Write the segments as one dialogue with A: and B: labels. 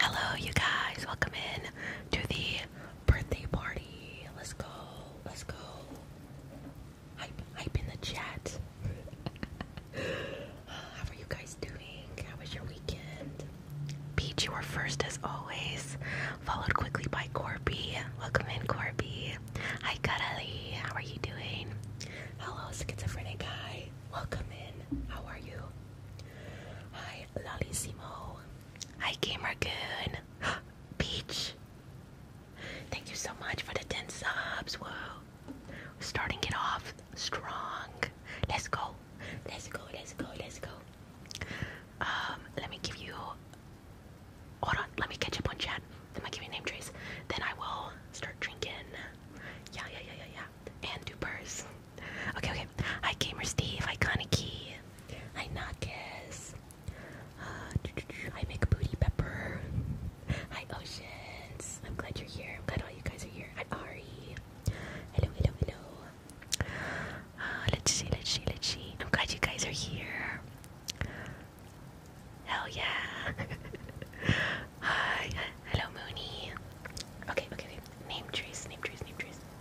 A: Hello, you guys. Welcome in to the birthday party. Let's go. Let's go. Hype, hype in the chat. Uh, how are you guys doing? How was your weekend? Peach, you are first as always, followed quickly by Corby. Welcome in, Corby. Hi, Karali. How are you doing? Hello, schizophrenic guy. Welcome in. How are you? Hi, Lalissimo. Hi, Gamer Goon. Peach. Thank you so much for the 10 subs. Whoa. Starting it off strong. Let's go. Let's go. Let's go. Let's go. Um, let me give you. Hold on. Let me catch up on chat. Then I'll give you name trace. Then I will start drinking. Yeah, yeah, yeah, yeah, yeah. And do purse. Okay, okay. Hi, Gamer Steve. Hi, Kaneki. Hi, Nakis. Uh, hi, McBooty Pepper. Hi, Oceans. I'm glad you're here. I'm glad all you guys are here. Hi, Ari. Hello, hello, hello. Uh, let's see, let's see, let's see. I'm glad you guys are here. Hell yeah. Hi. Hello, Mooney. okay, okay. Name trees, name trees, name trees.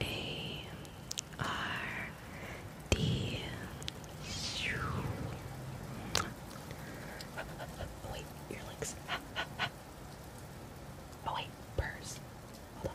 A: a R D. Oh wait, earlocks. Oh wait, purse. Hold on.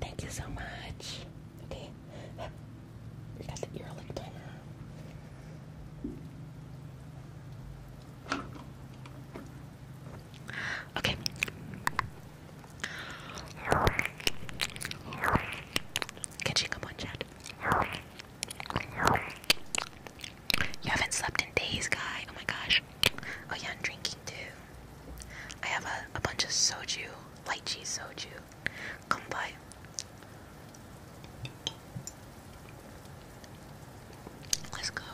A: Thank you so much. Okay. We got the earlick done. Okay. Catching up on chat. You haven't slept in days, guy. Oh my gosh. Oh yeah, I'm drinking too. I have a, bunch of soju, light G soju. Come by. Let's go.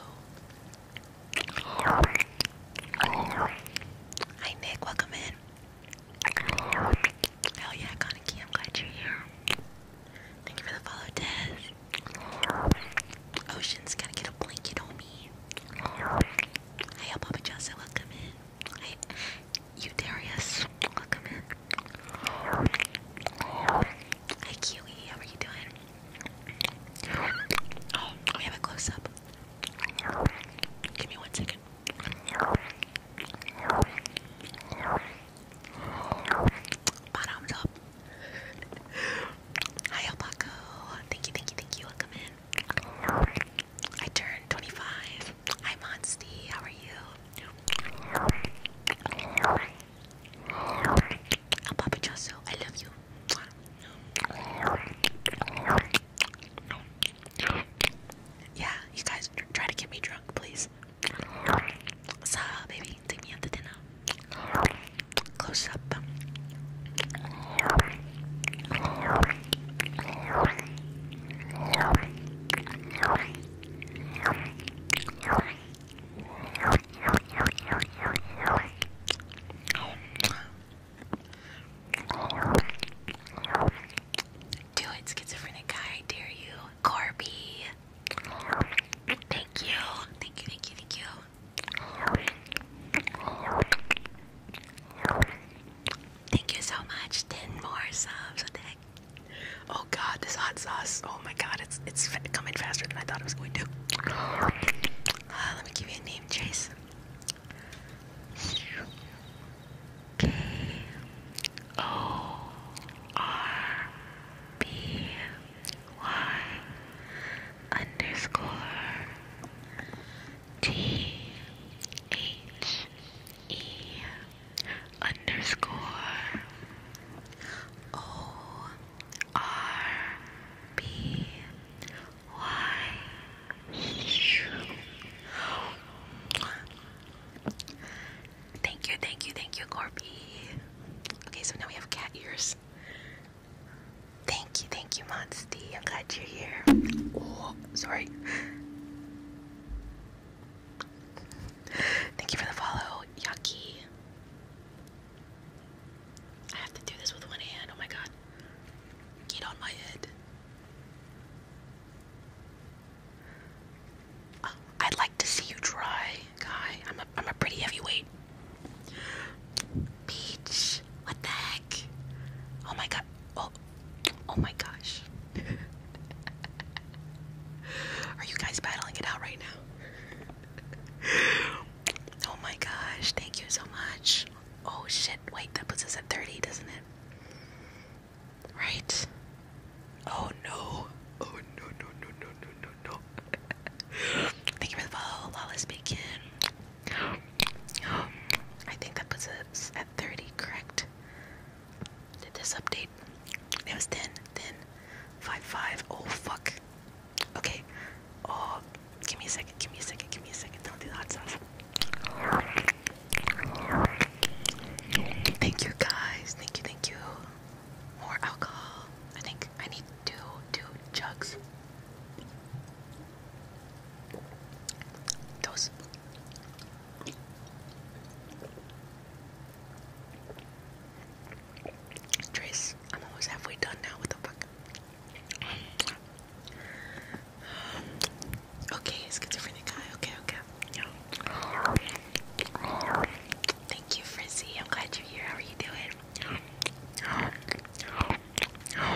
A: Hi Nick, welcome in. Hell yeah, Kaneki, I'm glad you're here. Thank you for the follow, Tez. Ocean's gotta get a blanket on me. Hey, Papa Jose, welcome in. Hey, you Darius, welcome in. Hi, Kiwi, how are you doing? Oh, we have a close up. Give me one second. Bottoms up. Hi, Alpaco. Thank you, thank you, thank you. Welcome in. I turned 25. Hi, Monsty. How are you? Alpapachoso, I love you. Yeah, you guys try to get me drunk, please. So, baby, take me out to dinner. Close up. Do it, schizophrenic guy, dare you. Corby. Thank you. Thank you, thank you, thank you. Thank you so much. Ten more subs. What the Oh god, this hot sauce. Oh my god, it's it's coming faster than I thought it was going to. Uh, let me give you a name, Chase. K O R B Y underscore T H E underscore O R B Y Thank you, thank you, thank you, Corby. Okay, so now we have cat ears. Thank you, thank you, Monsty. I'm glad you're here. Oh, sorry. Thank you for the follow, Yucky. I have to do this with one hand. Oh my god. Get on my head. Oh, I'd like to see you try, guy. I'm a, I'm a pretty heavyweight. Beach. what the heck? Oh my god. Oh, oh my gosh. Are you guys battling it out right now? oh my gosh, thank you so much. Oh shit, wait, that puts us at 30, doesn't it? Right? Oh no. Oh no, no, no, no, no, no, no. Thank you for the follow, Lawless Bacon. Um, I think that puts us at 30, correct? Did this update? It was 10, 10, 5, 5. Oh fuck. Okay. Oh, give me a second, give me a second, give me a second. Don't do the hot sauce. Thank you guys. Thank you, thank you. More alcohol. I think I need two two jugs. Those Trace, I'm almost halfway done now. What the fuck? Okay, schizophrenic guy. Okay, okay. Thank you, Frizzy. I'm glad you're here. How are you doing? Do it.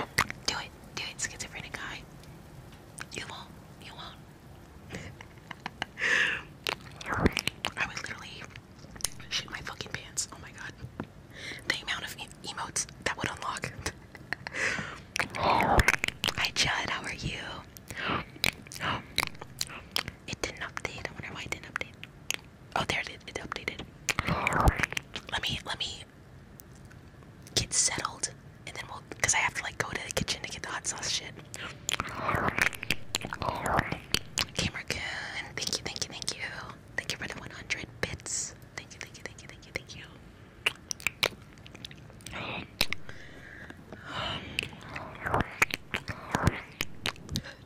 A: Do it, schizophrenic guy. You won't. You won't. I would literally shit my fucking pants. Oh my god. The amount of emotes that would unlock. Hi Judd, how are you? It didn't update. I wonder why it didn't update. Oh, there it it updated. Let me let me get settled, and then we'll because I have to like go to the kitchen to get the hot sauce shit. Gamer Thank you, thank you, thank you. Thank you for the 100 bits. Thank you, thank you, thank you, thank you, thank you.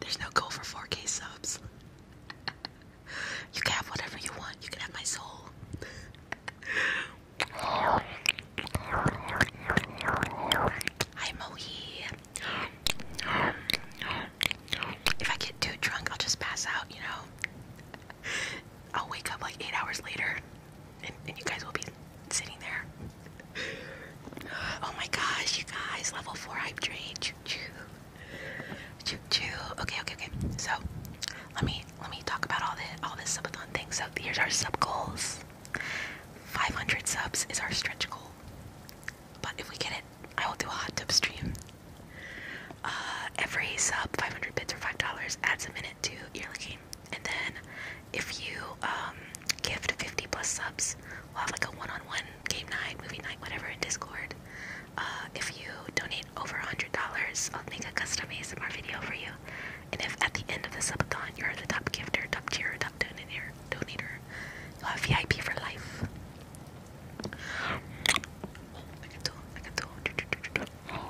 A: There's no goal for 4K subs. You can have whatever you want. You can have my soul. Hi, Mohi. If I get too drunk, I'll just pass out, you know? I'll wake up like eight hours later and, you guys will be sitting there. Oh my gosh, you guys, level four hype train. Choo choo. Choo choo. Okay, okay, okay. So let me let me talk about all the all this subathon thing. So here's our sub goals. 500 subs is our stretch goal. But if we get it, I will do a hot tub stream. Uh, every sub, 500 bits or $5 adds a minute to your game. And then if you um, gift 50 plus subs, we'll have like a one-on-one game night, movie night, whatever in Discord. Uh, if you donate over $100, I'll make a custom ASMR video for you. And if at the end of the subathon you're the top gifter, top tier, top donator, donator, you'll have VIP for life. I'm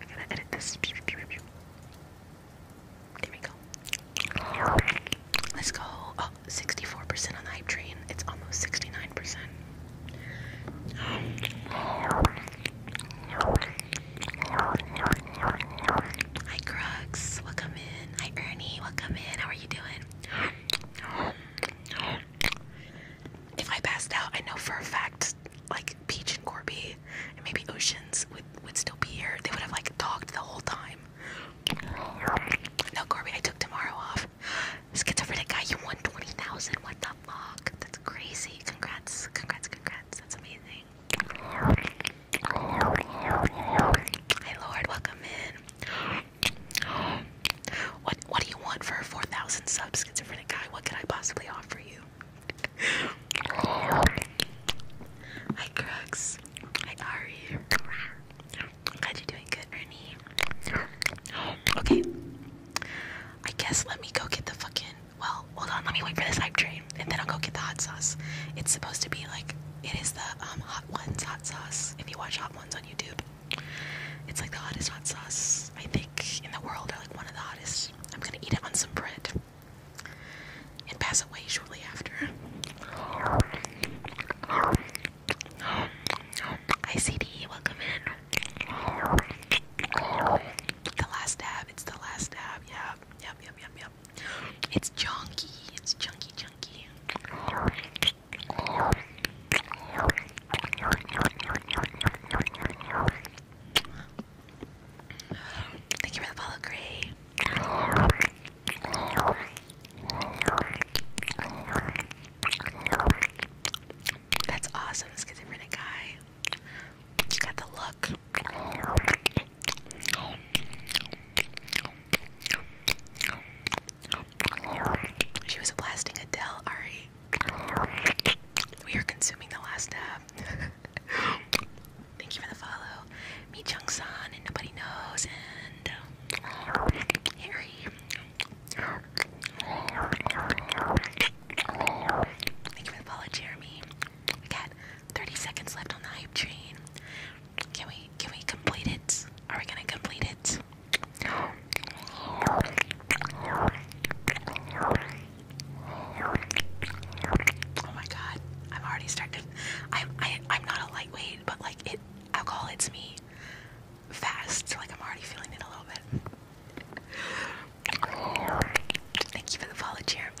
A: gonna edit this. Let's go. Oh, 64% on the hype train. It's almost 69%. Hi, Crux. Welcome in. Hi, Ernie. Welcome in. How are you doing? If I passed out, I know for a fact, like Peach and Corby and maybe Oceans would would still be here. They would have like talked the whole time. No, Corby, I took tomorrow off. Schizophrenic guy, you won twenty thousand. What the fuck? That's crazy. Congrats, congrats, congrats. That's amazing. Hey Lord, welcome in. What What do you want for a 4,000 sub schizophrenic guy? What could I possibly offer you? Hi, Crux. Hi, Ari. I'm glad you're doing good, Ernie. Okay. I guess let me go get the fucking. Well, hold on. Let me wait for this hype train, and then I'll go get the hot sauce. It's supposed to be like it is the um, hot ones hot sauce. If you watch hot ones on YouTube. It's like the hottest hot sauce, I think, in the world, or like one of the hottest. I'm gonna eat it on some bread and pass away shortly after. ICD, welcome in. The last dab, it's the last dab, yeah. Yep, yep, yep, yep. It's chunky, it's chunky, chunky. Thank you for the follow, Gray. That's awesome, schizophrenic guy. You got the look. She was blasting Adele, Ari. We are consuming the last tab. Thank you for the follow. Me Chung and Nobody Knows and um, Thank you for the follow, Jeremy. We got 30 seconds left on the hype train. Can we can we complete it? Are we gonna complete it? Oh my god, I'm already starting. I'm I, i i am not a lightweight, but like it, alcohol hits me fast. So like I'm already feeling it a little bit. Thank you for the follow, Jeremy.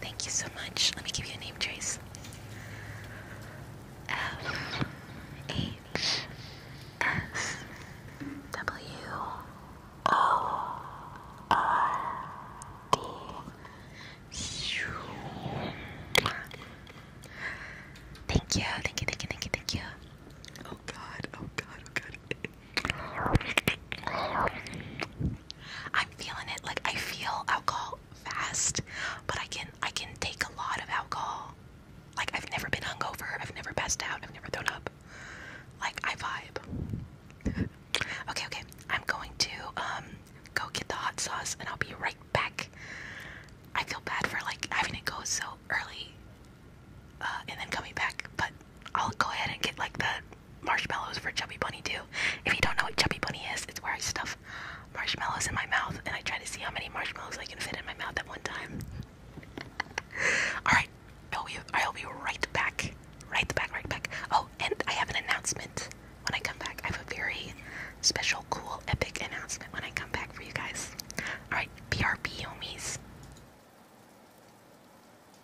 A: Thank you so much. Let me give you a name, Trace. F H S W O R D. thank you, thank you, thank you, thank you. Oh god, oh god, oh god. I'm feeling it. Like I feel alcohol fast, but I can I can take a lot of alcohol. Like I've never been hungover. I've never passed out. I've never thrown up. Like I vibe. okay, okay. I'm going to um go get the hot sauce and I'll be right back. I feel bad for like having it go so early uh, and then coming back. But I'll go ahead and get like the marshmallows for Chubby Bunny too. If you don't know what Chubby Bunny is, it's where I stuff marshmallows in my mouth and I try to see how many marshmallows I can fit in my mouth at one time. All right, I'll oh, be, I'll be right back, right back, right back. Oh, and I have an announcement when I come back. I have a very special, cool, epic announcement when I come back for you guys. All right, BRB homies.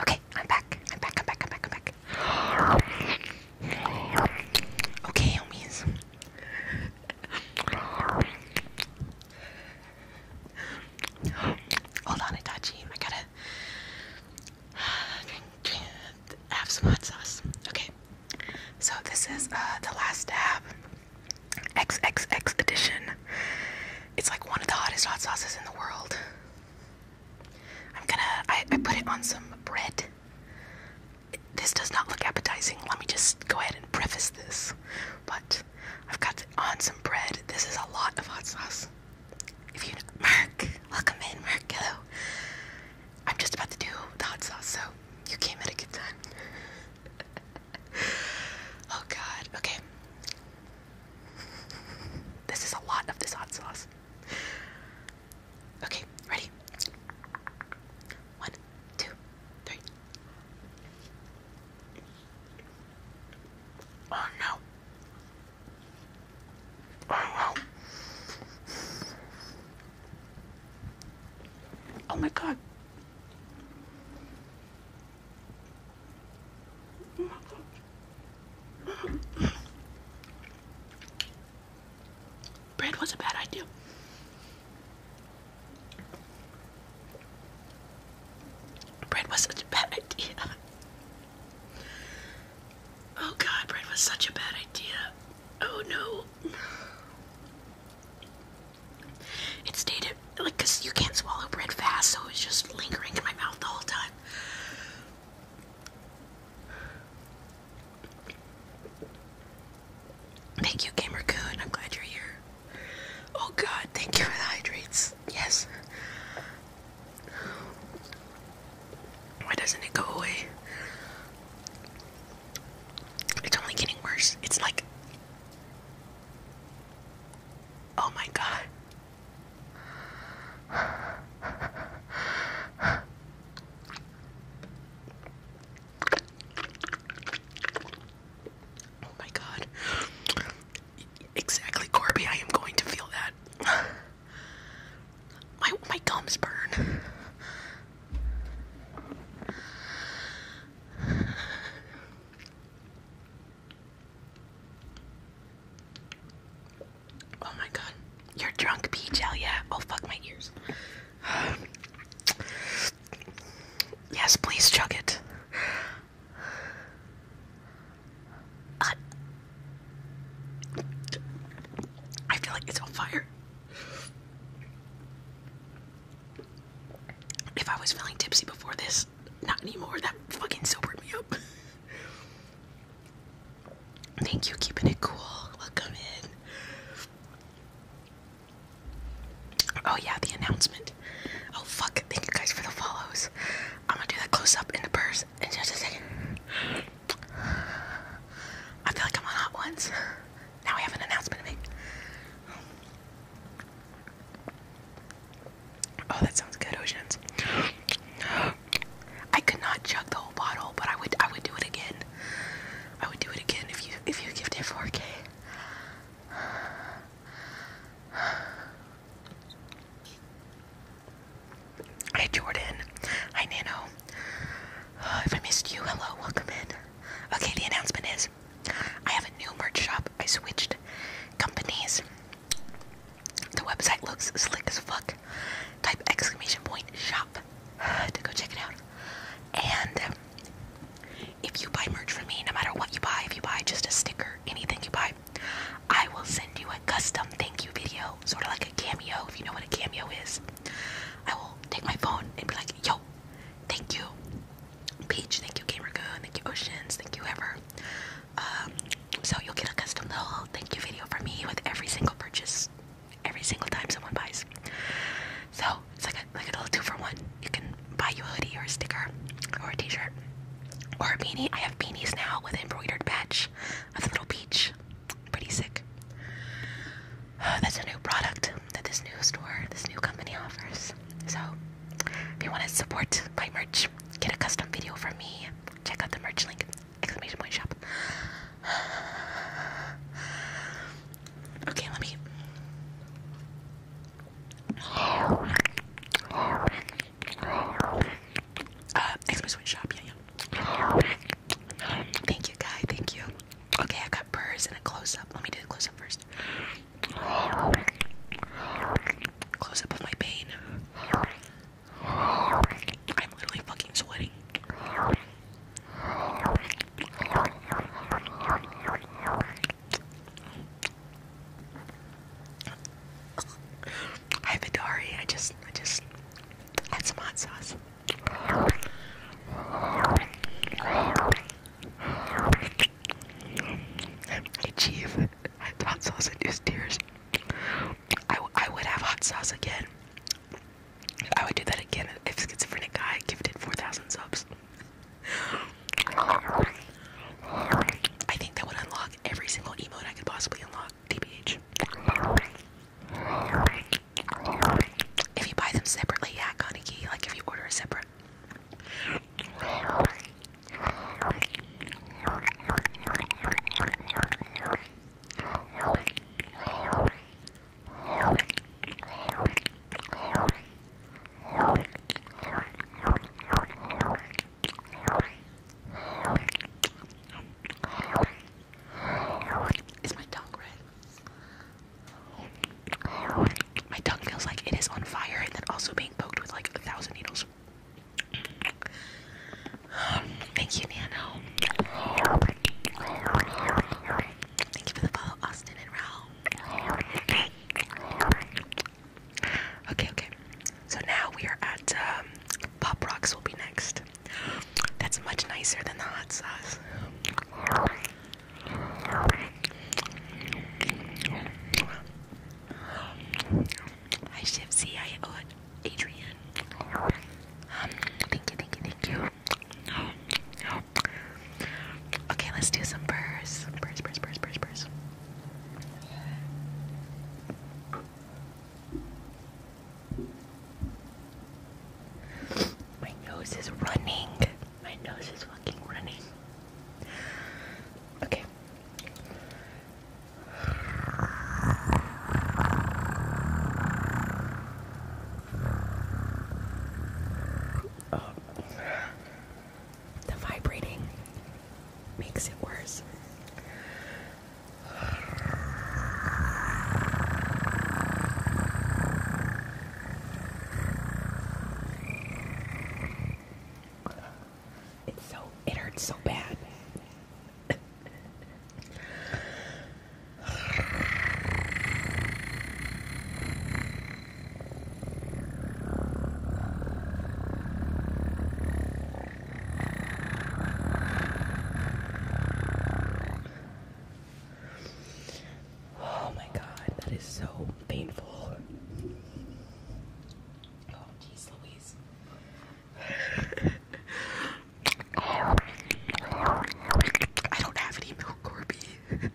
A: Okay, I'm back. I'm back. I'm back. I'm back. I'm back. Okay, homies. Hold on, Itachi. I gotta have some hot sauce. Okay, so this is uh, the last dab XXX edition. It's like one of the hottest hot sauces in the world. I'm gonna, I, put it on some bread. this does not look appetizing. Let me just go ahead and preface this. But I've got on some bread. This is a lot of hot sauce. If you, Mark, welcome in, Mark, hello. I'm just about to do the hot sauce, so you came at a good time. oh god, okay. This is a lot of this hot sauce. Okay, ready? One, two, three. Oh no. Oh my god. Bread was a bad idea. Bread was a bad idea. Oh god, bread was such a bad idea. Oh no. It stayed in like, because you can't swallow bread fast, so it was just lingering in my mouth the whole time. Thank you, Gamer I'm glad you're here. Oh god, thank you for the hydrates. Yes. Why doesn't it go away? It's only getting worse. It's like. Oh my god. Oh my god. Exactly, Corby. I am going to feel that. My my gums burn. Oh my god. You're drunk, peach, hell yeah. Oh fuck my ears. Yes, please chug it. I feel like it's on fire. If I was feeling tipsy before this, not anymore. That fucking sobered me up. Thank you, keeping it cool. Welcome in. Oh yeah, the announcement. Oh fuck, thank you guys for the follows. I'm gonna do that close up in the purse in just a second. I feel like I'm on hot ones. Now I have an announcement to make. Oh, that sounds good, Oceans. I could not chug the whole bottle, but I would I would do it again. I would do it again if you if you give a 4K. Hi Jordan. Hi Nano. If I missed you, hello, welcome in. Okay, the announcement is I have a new merch shop. I switched companies. The website looks slick as fuck. Type exclamation point shop to go check it out. And if you buy merch from me, no matter what you buy, if you buy just a sticker, anything you buy, I will send you a custom thank you video, sort of like a cameo, if you know what a cameo is. I will take my phone and be like, yo, thank you, Peach, thank you, GamerGun, thank you, Oceans, thank you, ever. Um, so you'll get a custom little thank you video for me with every single purchase, every single time someone buys. So it's like a, like a little two for one. You can buy you a hoodie or a sticker or a t-shirt or a beanie. I have beanies now with an embroidered patch of the little peach pretty sick. That's a new product that this new store, this new company offers. So, if you want to support my merch, get a custom video from me. Check out the merch link. Exclamation point shop. Okay, let me. Uh, exclamation point shop. Yeah, yeah. Thank you, guy. Thank you. Okay, I got purrs and a close up. Let me do the close up first. Close up of my pain. I'm literally fucking sweating. Hi Vidari, I just I just had some hot sauce. Chief, hot sauce induced tears. I, I would have hot sauce again. I would do that again if schizophrenic guy gifted 4,000 subs. I think that would unlock every single emote I could possibly unlock, TBH. If you buy them separately, yeah, Kaneki, like if you order a separate. Is my tongue red? My tongue feels like it is on fire and then also being poked with like a thousand needles. Thank you, Nano. Thank you for the follow, Austin and Raul. Okay, okay. So now we are at um, Pop Rocks will be next. That's much nicer than the hot sauce. Hi, Shiv C. I owe it, Adrian. Um, thank you, thank you, thank you. Okay, let's do some purrs. Purrs, purrs, purrs, purrs, purrs. My nose is running. My nose is fucking running. Okay. The vibrating makes it worse. It's so it hurts so bad. Oh my god, that is so painful. Oh, I don't have any milk, Corby.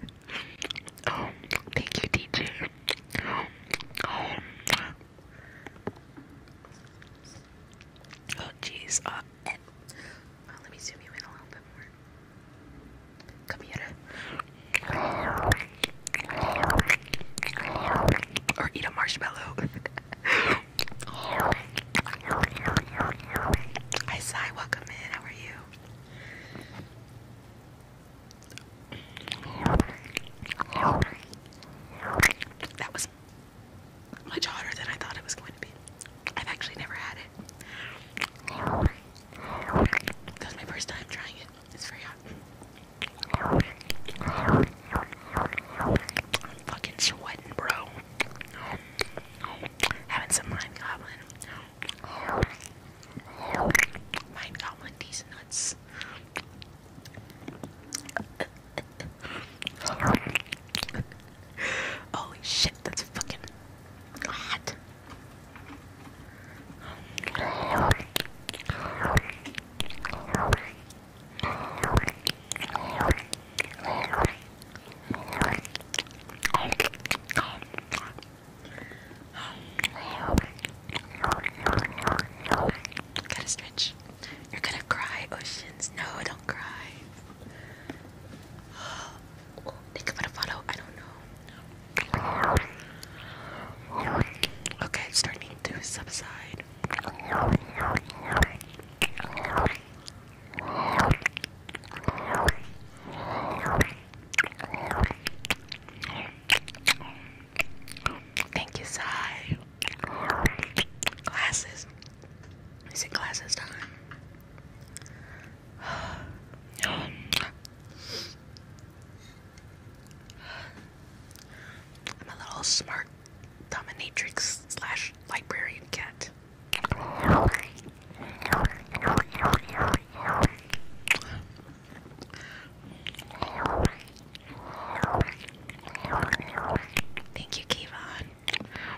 A: oh, thank you, DJ. Oh, oh jeez. Uh, let me zoom you in a little bit more. Or eat a marshmallow. Hi, Sai. Welcome in. How are you? That was much hotter than I thought it was going to be. I've actually never had it. That my first time trying it. It's very I'm fucking sweating, bro. Having some Mind Goblin. Mind Goblin, these nuts. Holy shit, that's fucking hot. Gotta stretch. You're gonna cry, oceans. No, don't cry. Think about a I don't know. Okay, starting to subside. Thank you, Sai. Glasses. Is it glasses time? I'm a little smart dominatrix slash librarian cat. Thank you, Kevon.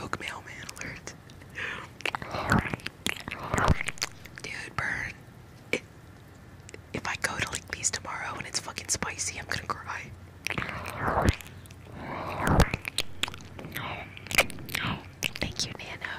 A: Rogue mailman alert. Dude, burn. if I go to like these tomorrow and it's fucking spicy, I'm gonna cry. Thank you, Nano.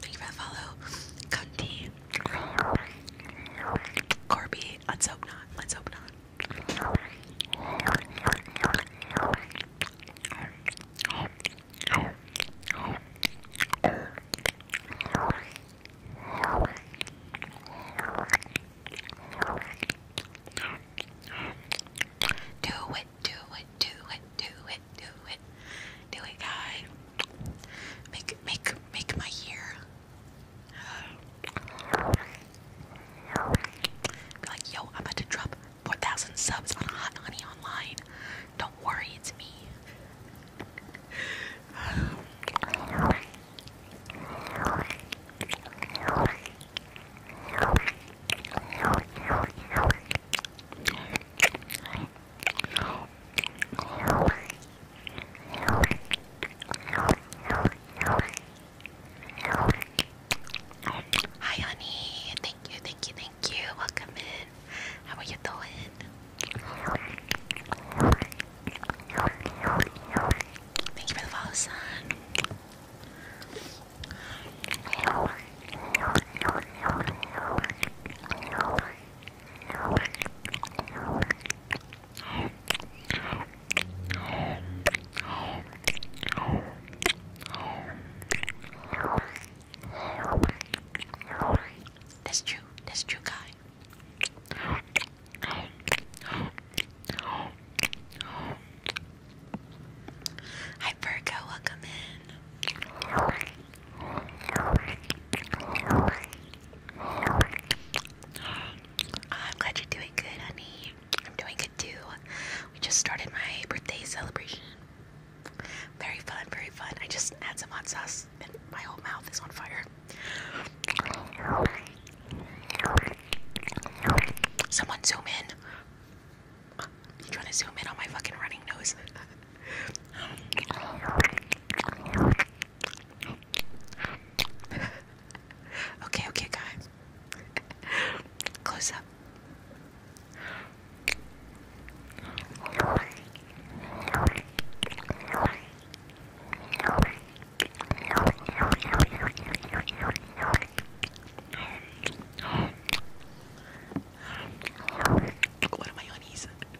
A: Thank you for the follow. Corby. Let's hope not. Let's hope not. Do it, do it, do it, do do it, do it, guy. Make, make, make my year. Be like, yo, I'm about to drop 4,000 subs on a Hot Honey Online. Don't worry, it's me. Hi, honey. Thank you, thank you, thank you. Welcome in. How are you doing? Thank you for the follow, son. That's true. That's true, guy. Hi, Virgo. Welcome in. Oh, I'm glad you're doing good, honey. I'm doing good too. We just started my birthday celebration. Very fun, very fun. I just had some hot sauce and my whole mouth is on fire. Someone zoom in. You trying to zoom in on my fucking running nose? okay, okay, guys. Close up. What am I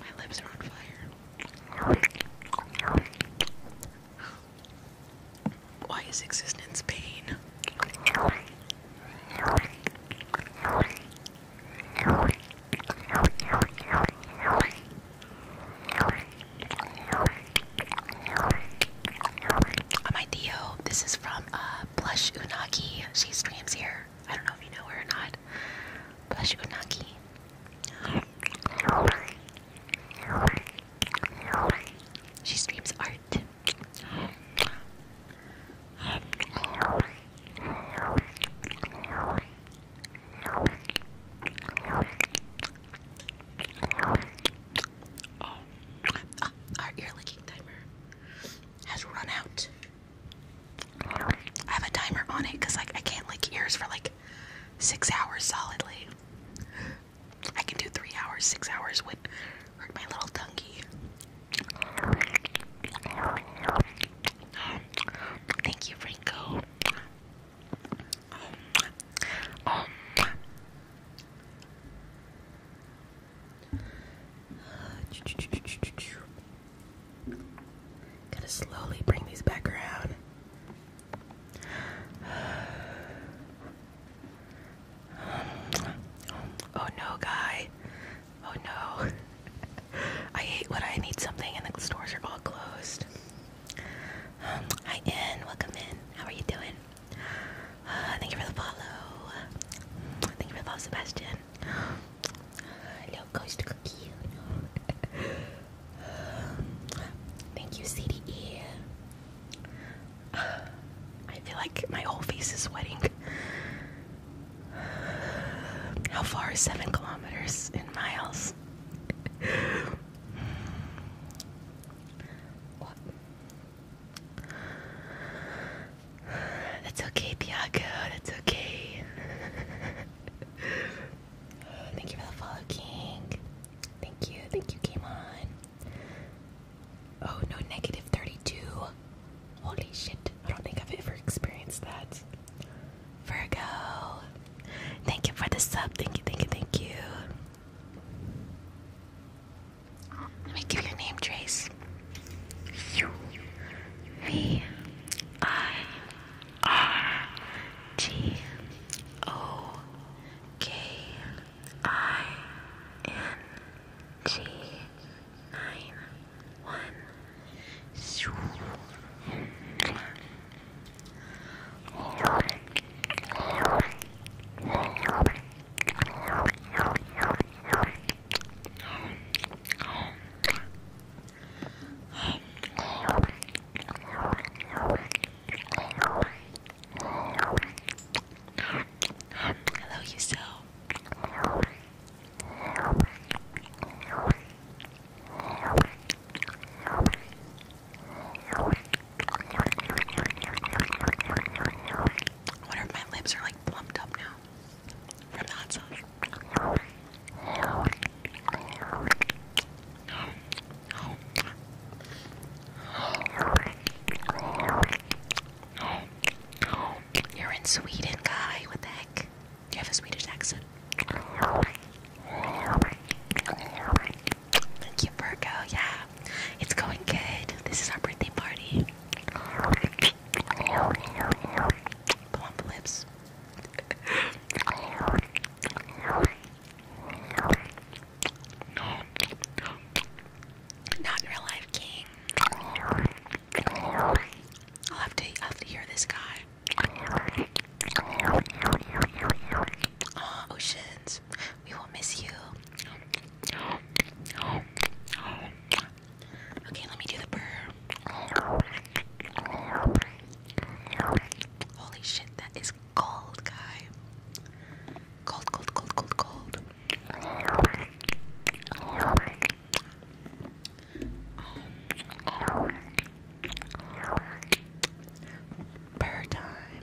A: My lips are on fire. Why is existence pain? On my Theo, this is from uh, Blush Unagi. She streams here. I don't know if you know her or not. Blush Unagi. She streams art. Oh, our ear licking timer has run out. I have a timer on it because like I can't lick ears for like six hours solidly. I can do three hours, six hours would my little tonguey. Um, thank you, Franco. Um, um, Gotta slowly bring these back around. Oh no, guy. Oh no. I hate when I need something and the stores are all closed. hi, Ann. Welcome in. How are you doing? thank you for the follow. Thank you for the Sebastian. Little ghost cookie. thank you, CDE. I feel like my whole face is sweating. How far is seven kilometers in miles? what? That's okay, Bianca. That's okay. Oh, thank you for the follow, King. Thank you. Thank you, came on. Oh no, negative 32. Holy shit. I don't think I've ever experienced that. Virgo. Thank you for the sub. Thank you, thank you, thank you. Let me give you name, Trace. V I R T O K I N G nine one shoo Hello, you so. I wonder if my lips are like plumped up now from the hot sauce. You're in Sweden, guy. What the heck? Do you have a Swedish accent? Thank you, Virgo. Yeah, it's going good. This is our birthday party. Plump lips. No. Not in real life, King. I'll have to I'll have to hear this guy. Oh, oceans. We will miss you. Okay, let me do the burr. Holy shit, that is cold, guy. Cold, cold, cold, cold, cold. Um, time.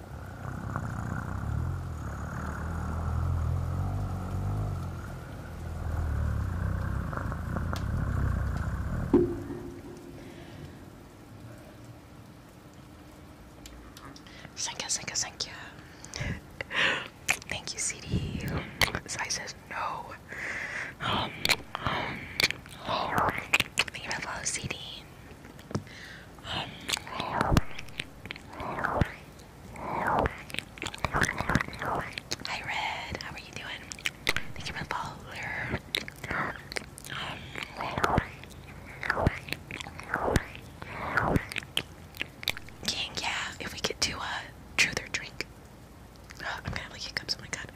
A: Thank you, thank you, thank you. thank you, CD. So I says no. Um, um, oh. Thank you for the follow, CD. Hi Red, how are you doing? Thank you for the follow. King, yeah, if we could do a truth or drink. Oh, I'm gonna have like hiccups, oh my god.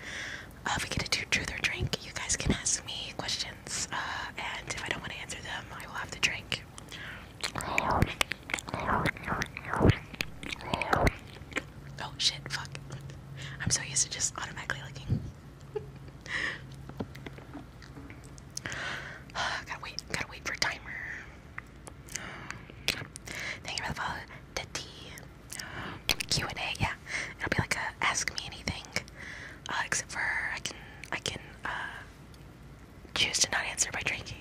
A: Uh, if we get to do truth or drink. You guys can ask me questions, uh, and if I don't want to answer them, I will have to drink. Oh shit, fuck. I'm so used to just automatically looking. gotta wait, gotta wait for timer. Thank you for The tea. Q&A, yeah, yeah, it'll be like a ask me anything, uh, except for I can I can uh, choose to not answer by drinking.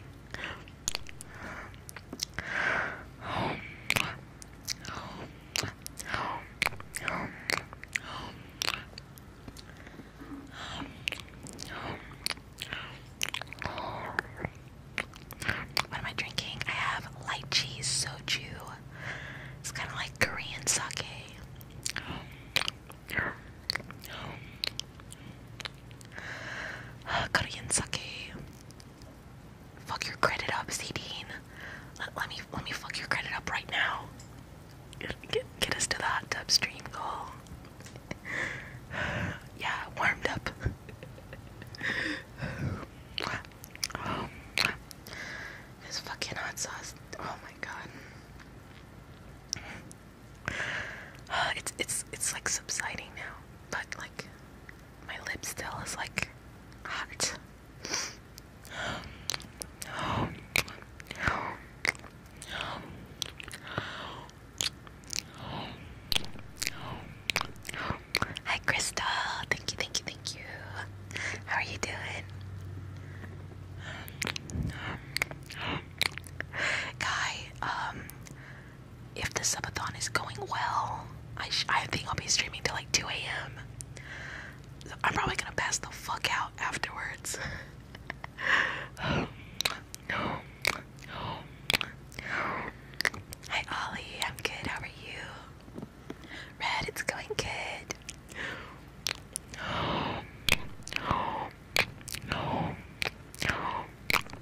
A: What am I drinking? I have light cheese soju. It's kind of like Korean sake. Korean uh, sake. Fuck your credit up, Cedine. Let, let me let me fuck your credit up right now. Get, us to the hot goal. yeah, warmed up. Um, this fucking hot sauce. Oh my god. it's it's it's like subsiding now, but like my lip still is like hot. Hi, Crystal. Thank you, thank you, thank you. How are you doing? Guy, um, if the subathon is going well, I, I think I'll be streaming till like 2 a.m. I'm probably gonna pass the fuck out afterwards. Hi Ollie, I'm good. How are you? Red, it's going good.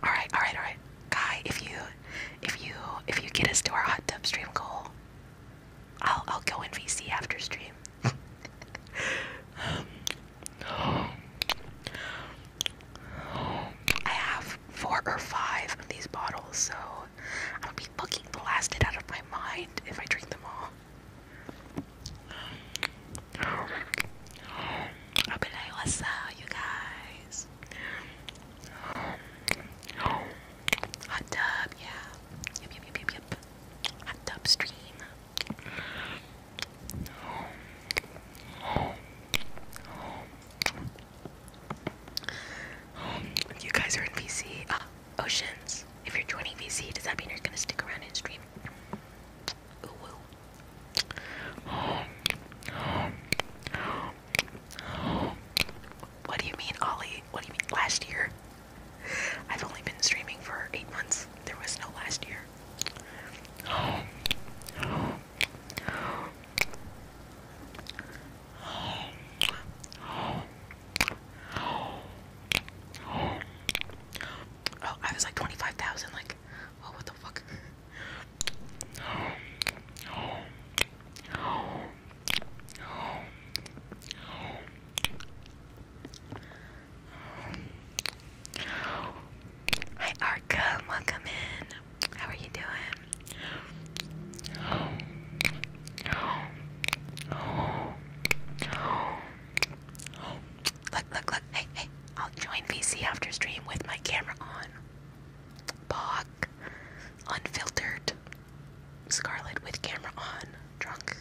A: Alright, alright, alright. Guy, if you if you if you get us to our hot tub stream goal, I'll I'll go in VC after stream. I have four or five of these bottles, so I'm be fucking blasted out of my mind if I drink them all. I'll be like, what's up, you guys? Hot tub, yeah. Hot tub stream. You guys are in PC. Ah. Oceans. If you're joining VC, does that mean you're gonna stick around and stream? What do you mean, Ollie? What do you mean? Last year? I've only been streaming for eight months. There was no last year. Oh, I was like 25,000. Like, oh, what the fuck? Hi, Arca. Welcome in. How are you doing? Look, look, look. Hey, hey. I'll join VC after stream with my camera on. Bog. Unfiltered. Scarlet with camera on. Drunk.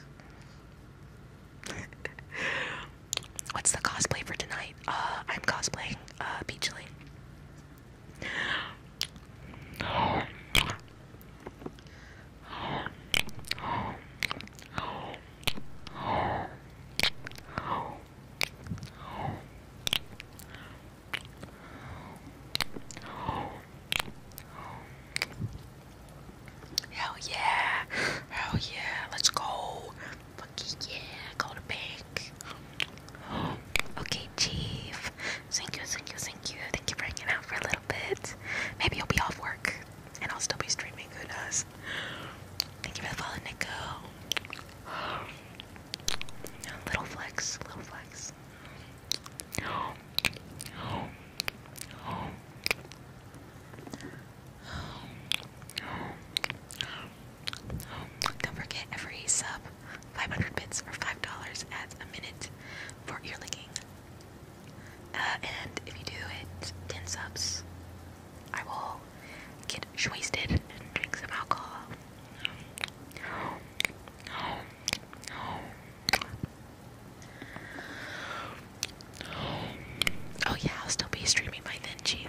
A: What's the cosplay for tonight? Uh, I'm cosplaying uh, Peachling. Hell yeah, hell yeah, let's go. Fucking yeah, go to bank. Okay, Chief. Thank you, thank you, thank you. Thank you for hanging out for a little bit. Maybe you'll be off work and I'll still be streaming. Who knows? Thank you for the follow, Nico. Little flex, little flex. Don't forget every sub, 500 bits or $5 adds a minute for ear uh, and if you do hit 10 subs, I will get wasted and drink some alcohol. Oh yeah, I'll still be streaming my then, Chief.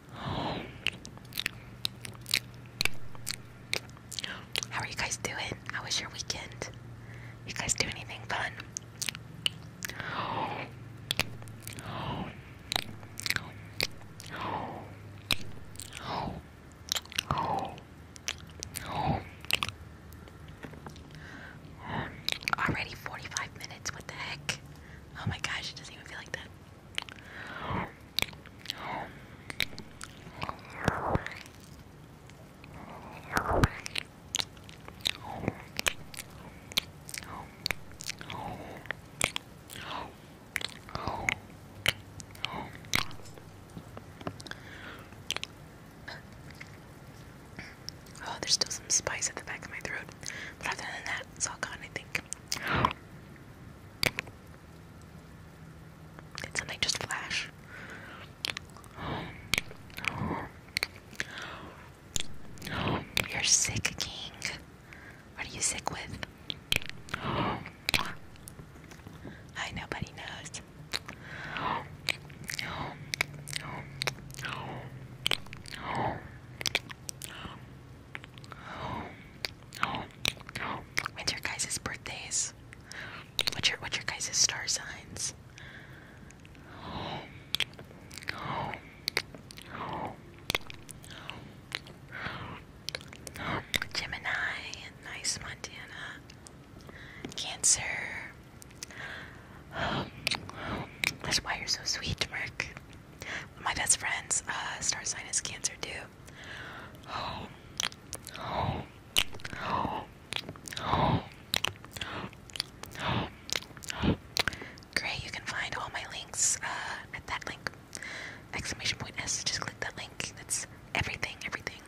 A: How are you guys doing? How was your weekend? You guys doing anything fun? Already 45 minutes, what the heck? Oh my gosh, it doesn't even feel like that. Oh, there's still some spice at the back of my throat, but other than that, it's all gone, I think something just flash? You're sick, King. What are you sick with? I nobody knows. When's your guys' birthdays? What's your what's your guys' star signs? Gemini, nice Montana. Cancer. That's why you're so sweet, Mark my best friend's uh, star sign is Cancer too. Great, you can find all my links uh, at that link. Exclamation point S. Just click that link. That's everything, everything.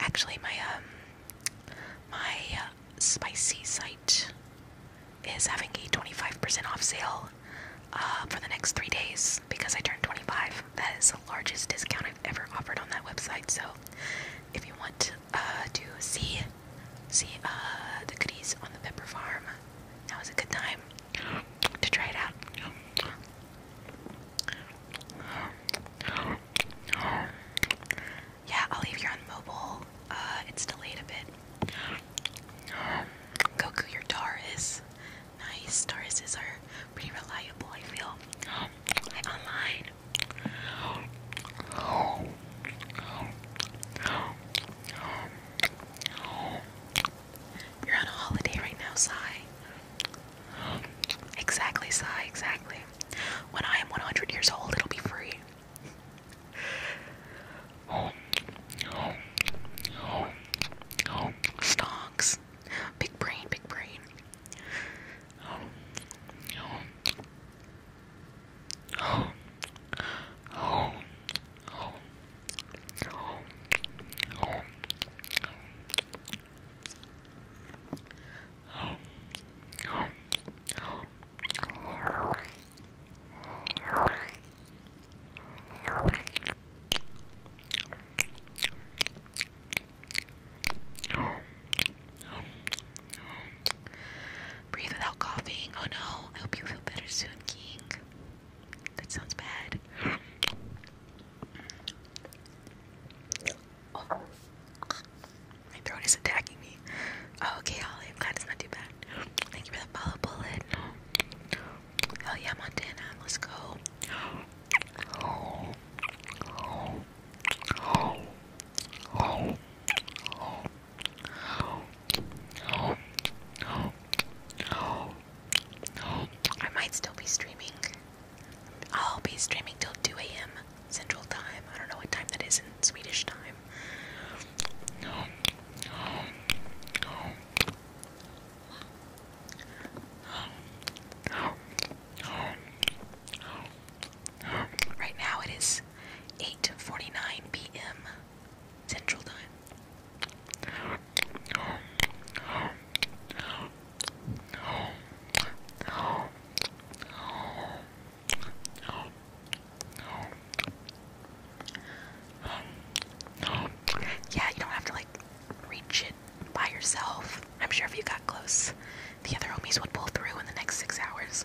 A: Actually, my um, my uh, spicy site is having a 25% off sale uh, for the next three days because I turned 25. That is the largest discount I've ever offered on that website. So if you want uh, to see see uh, the goodies on the Pepper Farm, now is a good time to try it out. Yeah, I'll leave you on mobile. it's delayed a bit, Goku, your Taurus. Nice. Tauruses are pretty reliable, I feel. You're on a holiday right now, Sai. Exactly, Sai, exactly. When I am 100 years old, it'll be free. Home, Big brain, big brain. Breathe without coughing. Oh no, I hope you feel better soon, King. That sounds bad. My throat is attacking me. Oh, okay, Holly. I'm glad it's not too bad. Thank you for the follow bullet. Hell yeah, Montana. Let's go. I might still be streaming. I'll be streaming till 2 a.m. Central Time. I don't know what time that is in Swedish time. Right now it is 8:49 p.m. Central Time. Um, yeah, you don't have to like reach it by yourself. I'm sure if you got close, the other homies would pull through in the next six hours.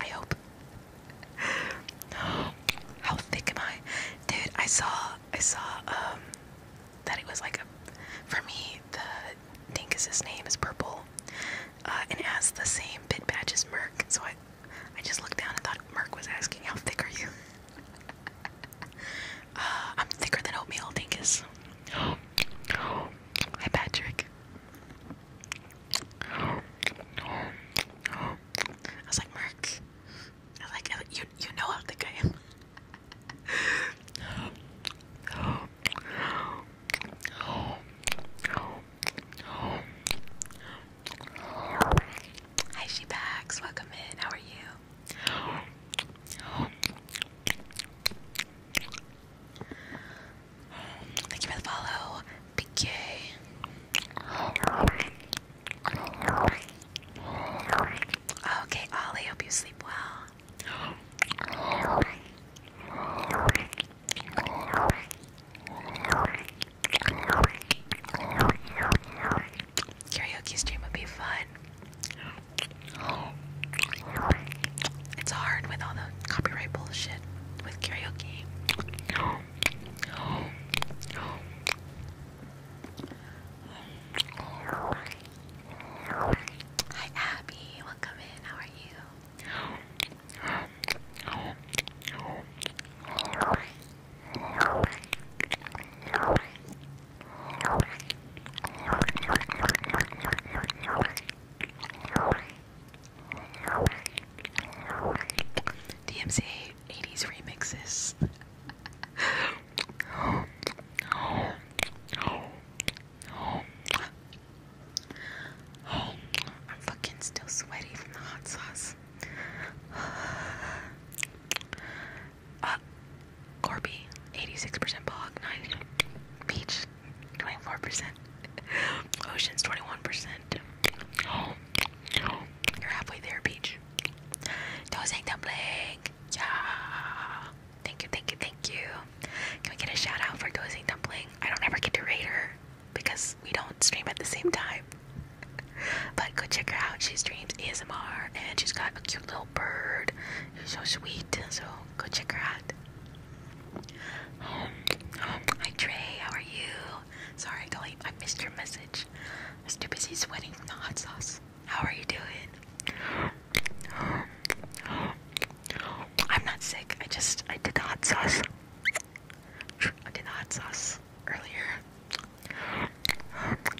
A: I hope. How thick am I? Dude, I saw I saw um, that it was like a for me the Dinkus's name is purple. Uh, and it has the same bit badge as Merk, so I I just looked down and thought Mark was asking, How thick are you? Uh, I'm thicker than oatmeal, Dinkus. Hi, Patrick. I was like, Mark, I was like, you, you know how thick I am. Hi, she packs. Welcome in. How are you? Thank you for the follow, Okay, Ollie. Hope you sleep well. Karaoke stream would be fun. It's hard with all the copyright bullshit with karaoke. Hi Abby, welcome in. How are you? DMC 80s remixes. I'm fucking still sweaty from the hot sauce. Uh, Corby, 86% Bog, 90 Peach, 24%. Oceans, 21%. you're halfway there, Peach. Those ain't Yeah. Thank you, thank you, thank you. Can we get a shout for Dozy Dumpling? I don't ever get to rate because we don't stream at the same time. But go check her out. She streams ASMR and she's got a cute little bird. She's so sweet. So go check her out. Um, um, hi Trey, how are you? Sorry, Dolly, I missed your message. I was too busy sweating from the hot sauce. How are you doing? I'm not sick. I just I did the hot sauce. I did the hot sauce earlier.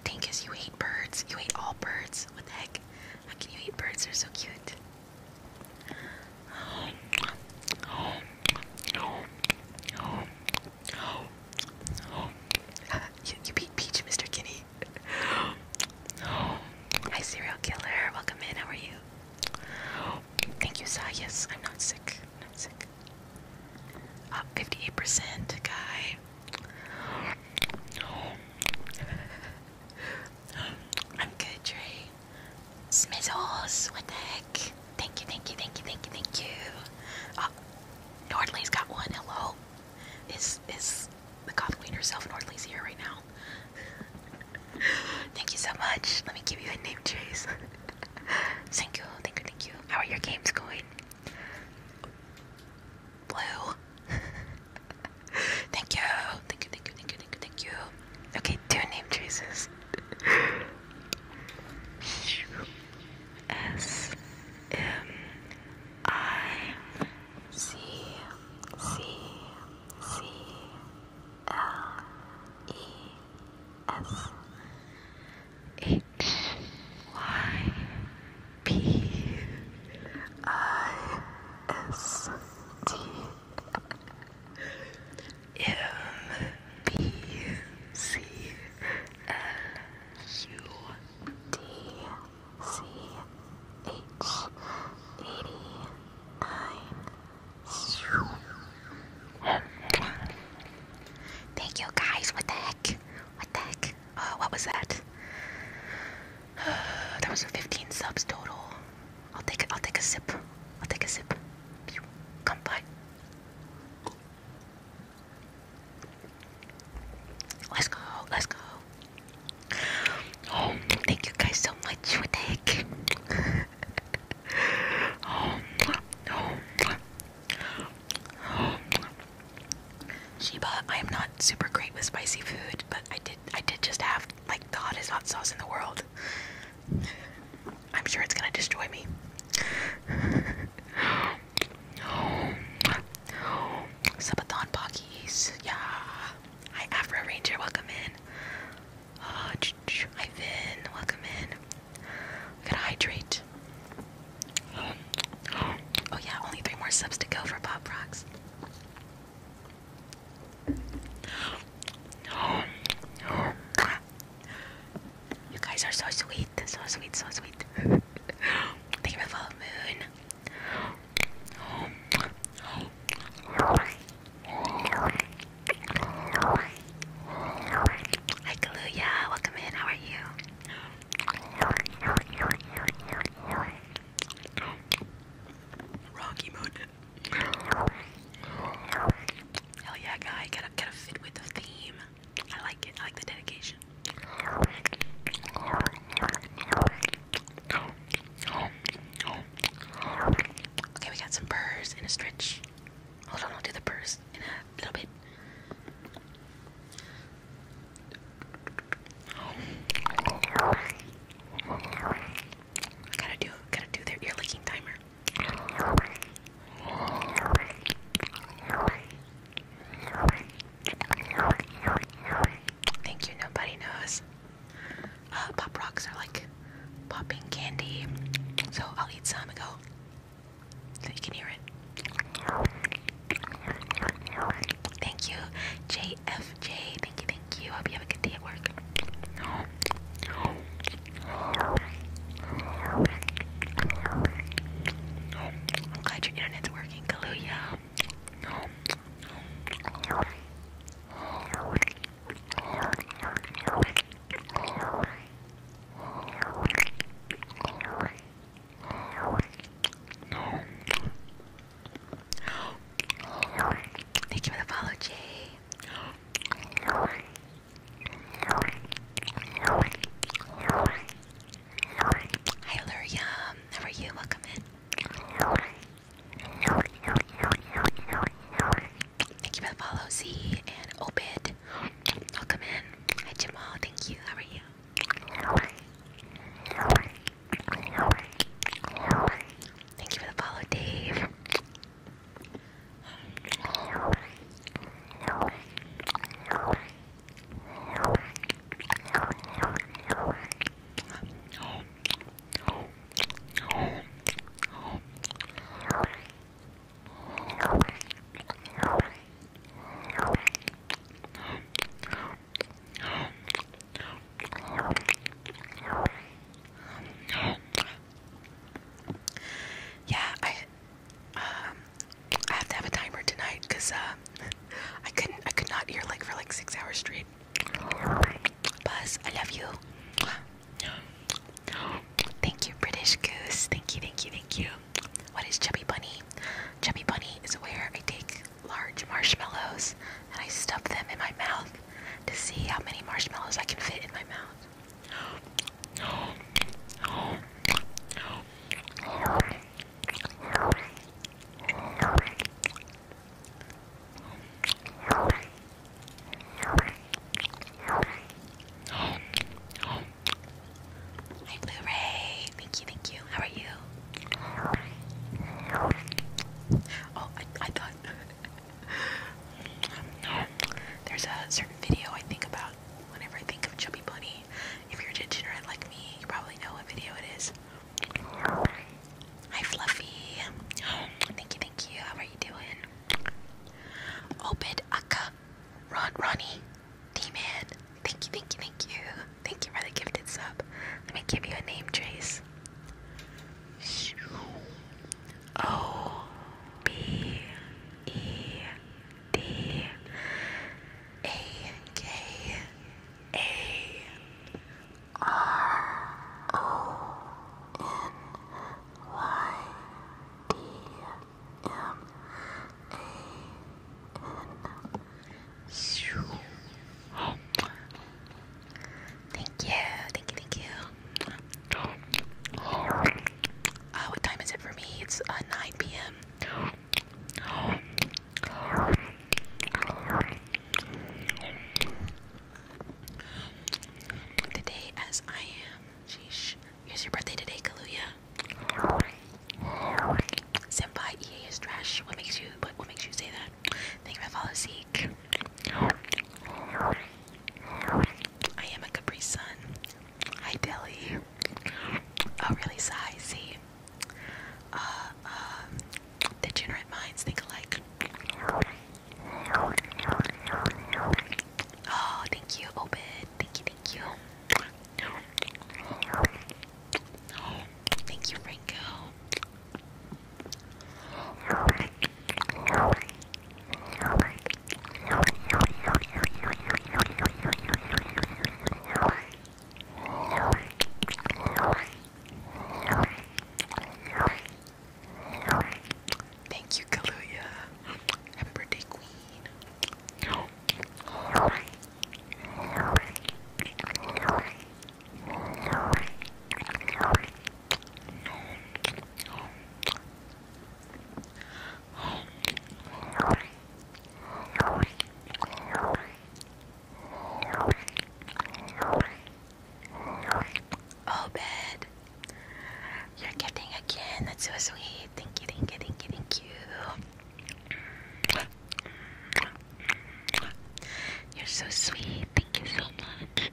A: Dinkus, you hate birds. You hate all birds. What the heck? How can you hate birds? They're so cute. you, beat Peach, Mr. Kinney. Hi, serial killer. Welcome in. How are you? Thank you, Sa. Yes, I'm not sick. I'm not sick. Up 58%, guy. I'm good, Trey. what the heck? Thank you, thank you, thank you, thank you, thank you. Oh, Nordley's got one. Hello. Is is the coffee queen herself? Nordley's here right now. thank you so much. Let me give you a name, Chase. thank you, thank you, thank you. How are your games going? Blue. thank you. Thank you, thank you, thank you, thank you, Okay, two name choices. S M I C C C L E S X Y P I S T M B C L U D C H eighty nine. Thank you guys. What the heck? What the heck? Oh, what was that? There was 15 subs total. I'll take it. I'll take a sip. I'll take a sip. Come by. Let's go. Let's go. Um, thank you guys so much. What the heck? oh, oh. Sheba, I am not super great with spicy food, but I did I did just have like the hottest hot sauce in the world. I'm sure it's gonna destroy me. Sabathon Pockies, yeah. Hi Afro Ranger, welcome in. hi uh, Vin, welcome in. I gotta hydrate. Oh yeah, only three more subs to go for Pop Rocks. You guys are so sweet, so sweet, so sweet. Thank you for the full Hi Kaluya, welcome in, how are you? Rocky Mountain. Hell yeah, guy. Gotta, gotta fit with the theme. I like it. I like the dedication. Okay, we got some purrs and a stretch. Hold on, I'll do the purrs in a little bit. I gotta do gotta do their ear licking timer. Thank you, nobody knows. Uh, pop rocks are like popping candy. So I'll eat some and go so you hear it. Thank you, JFJ. Thank you, thank you. Hope you have a good day at work. I'm glad your internet's working, Kaluuya. Thank you for the follow, Jay. Hi, Luria. How are you? Welcome in. Thank you for the follow, Z and Obid. Welcome in. Hi, Jamal. Thank you. How are you? Thank you for the follow, Dave. Yeah, I um I have to have a timer tonight cuz uh I couldn't I could not hear like for like 6 hours straight. Buzz, I love you. Thank you British Goose. Thank you, thank you, thank you. What is Chubby Bunny? Chubby Bunny is where I take large marshmallows and I stuff them in my mouth to see how many marshmallows I can fit in my mouth. Hi, Blu ray. Thank you, thank you. How are you? Oh, I, thought there's a certain video I think about whenever I think of Chubby Bunny. If you're degenerate like me, you probably know what video it is. Hi, Fluffy. Thank you, thank you. How are you doing? Obed Akka. Ron, Ronnie. D-Man, thank you, thank you, thank you. Thank you for the gifted sub. Let me give you a name, Trace. O B E D A K A R O N Y D Thank you, thank you, thank you. Uh, what time is it for me? It's uh, 9 p.m. Today, as I am, Here's your birthday today, Kaluya. Senpai EA is trash. What makes you what, makes you say that? Thank you for the seek. I am a Capri Sun. Hi Deli. Oh really sigh, see. Uh uh degenerate minds think alike. Oh, thank you, Obed. Thank you, thank you. Thank you, Franco. Thank you, Kaluya. Happy birthday, Queen. Oh, bed. You're getting again. That's so sweet. Thank you, thank you, thank you, thank you. You're so sweet. Thank you so much.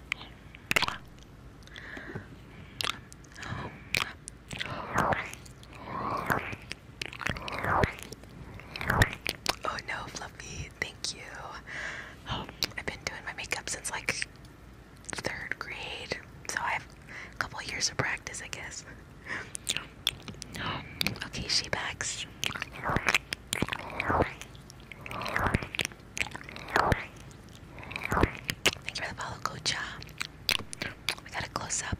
A: Oh no, Fluffy. Thank you. I've been doing my makeup since like third grade, so I have a couple years of practice, I guess. Okay, she backs. Thanks for the follow, Coach. Uh, we got a close up.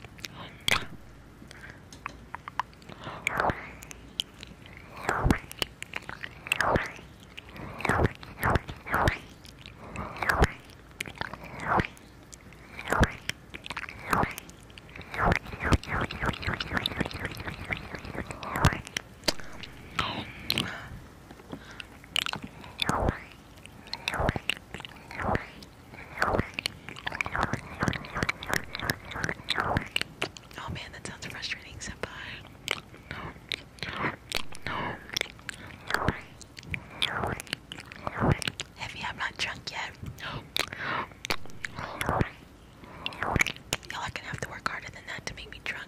A: Oh man, that sounds frustrating, senpai. No. No. No. Heavy, I'm not drunk yet. Y'all are gonna have to work harder than that to make me drunk.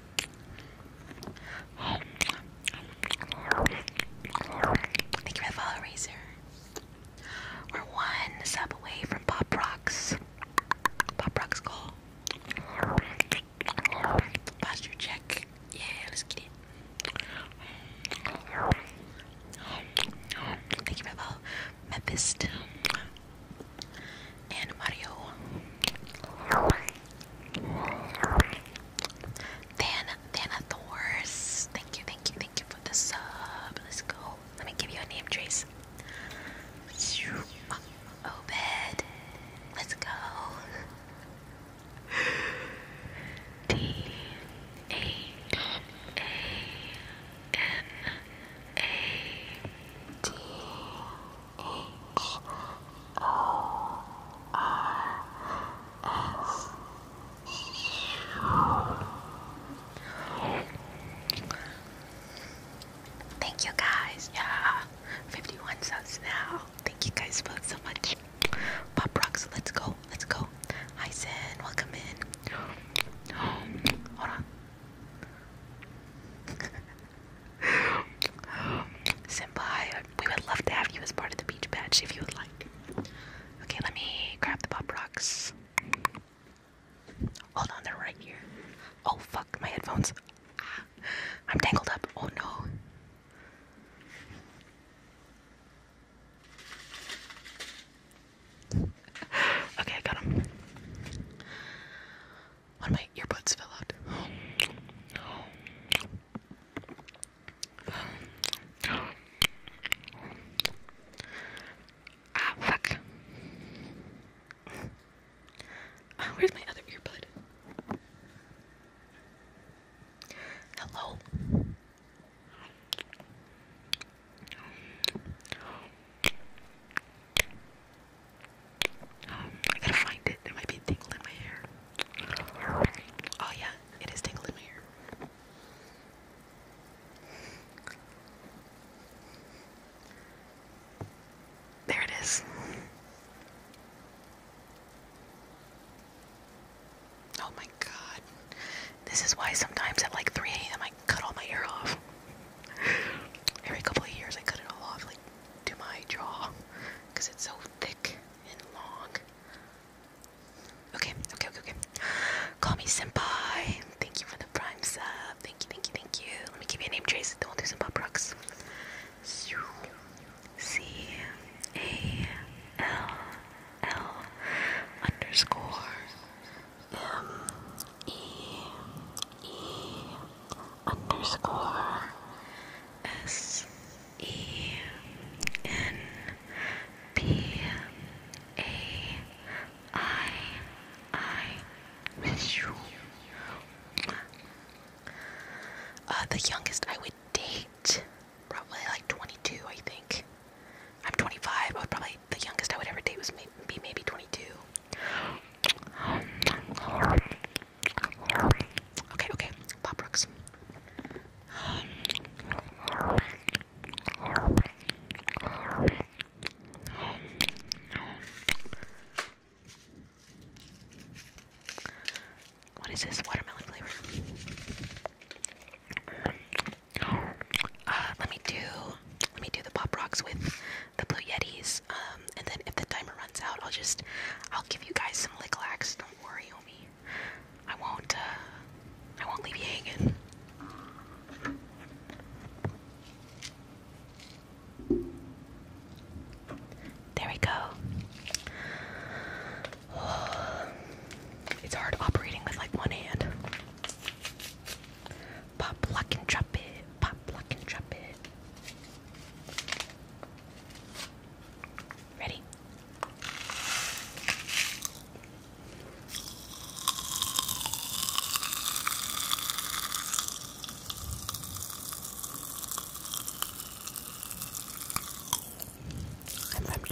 A: Thank you for the follow, We're one step away from Pop Rocks. Pop Rocks call. Posture check. Yeah, let's get it. Thank you for the follow, Mepist. And Mario. Than Thanathors. Thank you, thank you, thank you for the sub. Let's go. Let me give you a name, Trace. Obed. Let's go. D A A N A D H O R S. Thank you guys. Yeah, 51 subs now. Thank you guys both so much. Pop rocks. Let's go. Let's go. Hi, Sin. Welcome in. Hold on. Senpai, we would love to have you as part of the beach patch if you would like. Okay, let me grab the pop rocks. Hold on, they're right here. Oh fuck, my headphones. I'm tangled up. Oh no. okay, I got him. One of my earbuds fell out. Ah, fuck. Ah, where's my other earbud? Hello. I gotta find it. There might be a in my hair. Oh yeah, it is tingling in my ear. There it is. Oh my god. This is why sometimes at like 3 a.m. I cut all my hair off. Every couple of years I cut it all off, like to my jaw, because it's so thick and long. Okay, okay, okay, okay. Call me Senpai. Thank you for the prime sub. Thank you, thank you, thank you. Let me give you a name, Trace. Don't do some pop rocks. C A L L underscore M E E underscore S E N P A I I uh, the youngest I would date, probably like 22, I think. I'm 25, but probably the youngest I would ever date was maybe, maybe 22. Okay, okay. Pop rocks. what is this watermelon flavor? Uh, let me do let me do the pop rocks with the blue yetis. Um, and then if the timer runs out, I'll just I'll give you guys some lick Don't worry, homie. I won't, uh, I won't leave you hanging. There we go. It's hard operating with like one hand. Pop, lock, and drop it. Pop, lock, and drop it. Ready? I'm from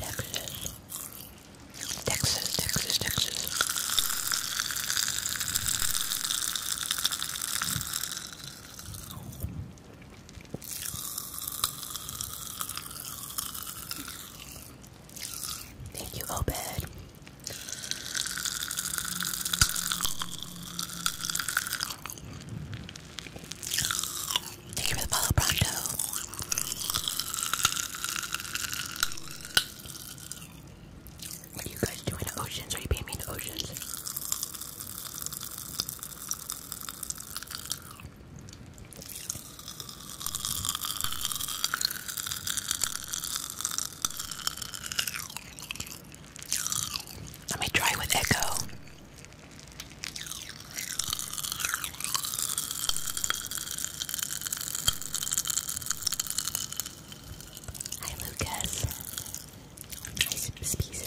A: Texas. Texas, Texas, Texas. Thank you, Obed. Thank you for the follow, Pronto. What are you guys doing in Oceans? Are you paying me in Oceans? Let me try with Echo. Hi, Lucas. Nice P6.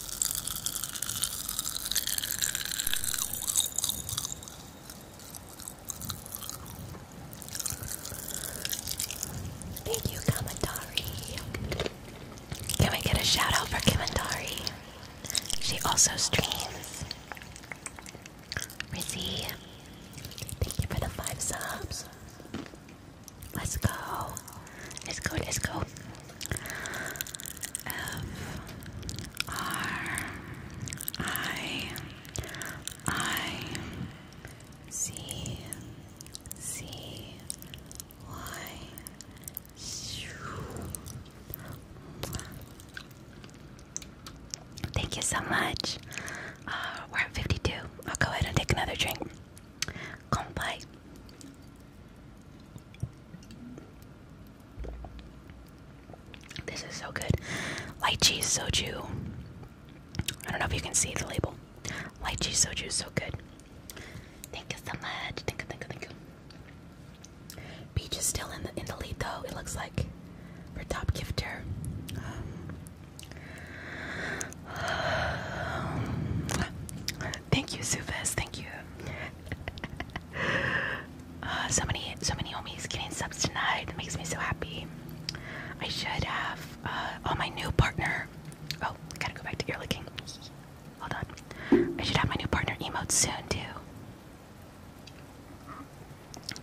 A: Thank you, Kamandari. Can we get a shout for Kamandari? She also streams. Rizzy, thank you for the five subs. Let's go. Let's go, let's go. F R I I C C Y Thank you so much. Uh, we're at 52. I'll go ahead and take another drink. Konpai. This is so good. cheese soju. I don't know if you can see the label. cheese soju is so good. Thank you so much. Thank you, thank you, thank you. Peach is still in the in the lead though. It looks like for top gifter. Um, thank you, Sufis. Thank you. Uh, so many, so many homies getting subs tonight. That makes me so happy. I should have. Uh, oh, my new partner. Oh, gotta go back to ear licking. Hold on. I should have my new partner emotes soon too.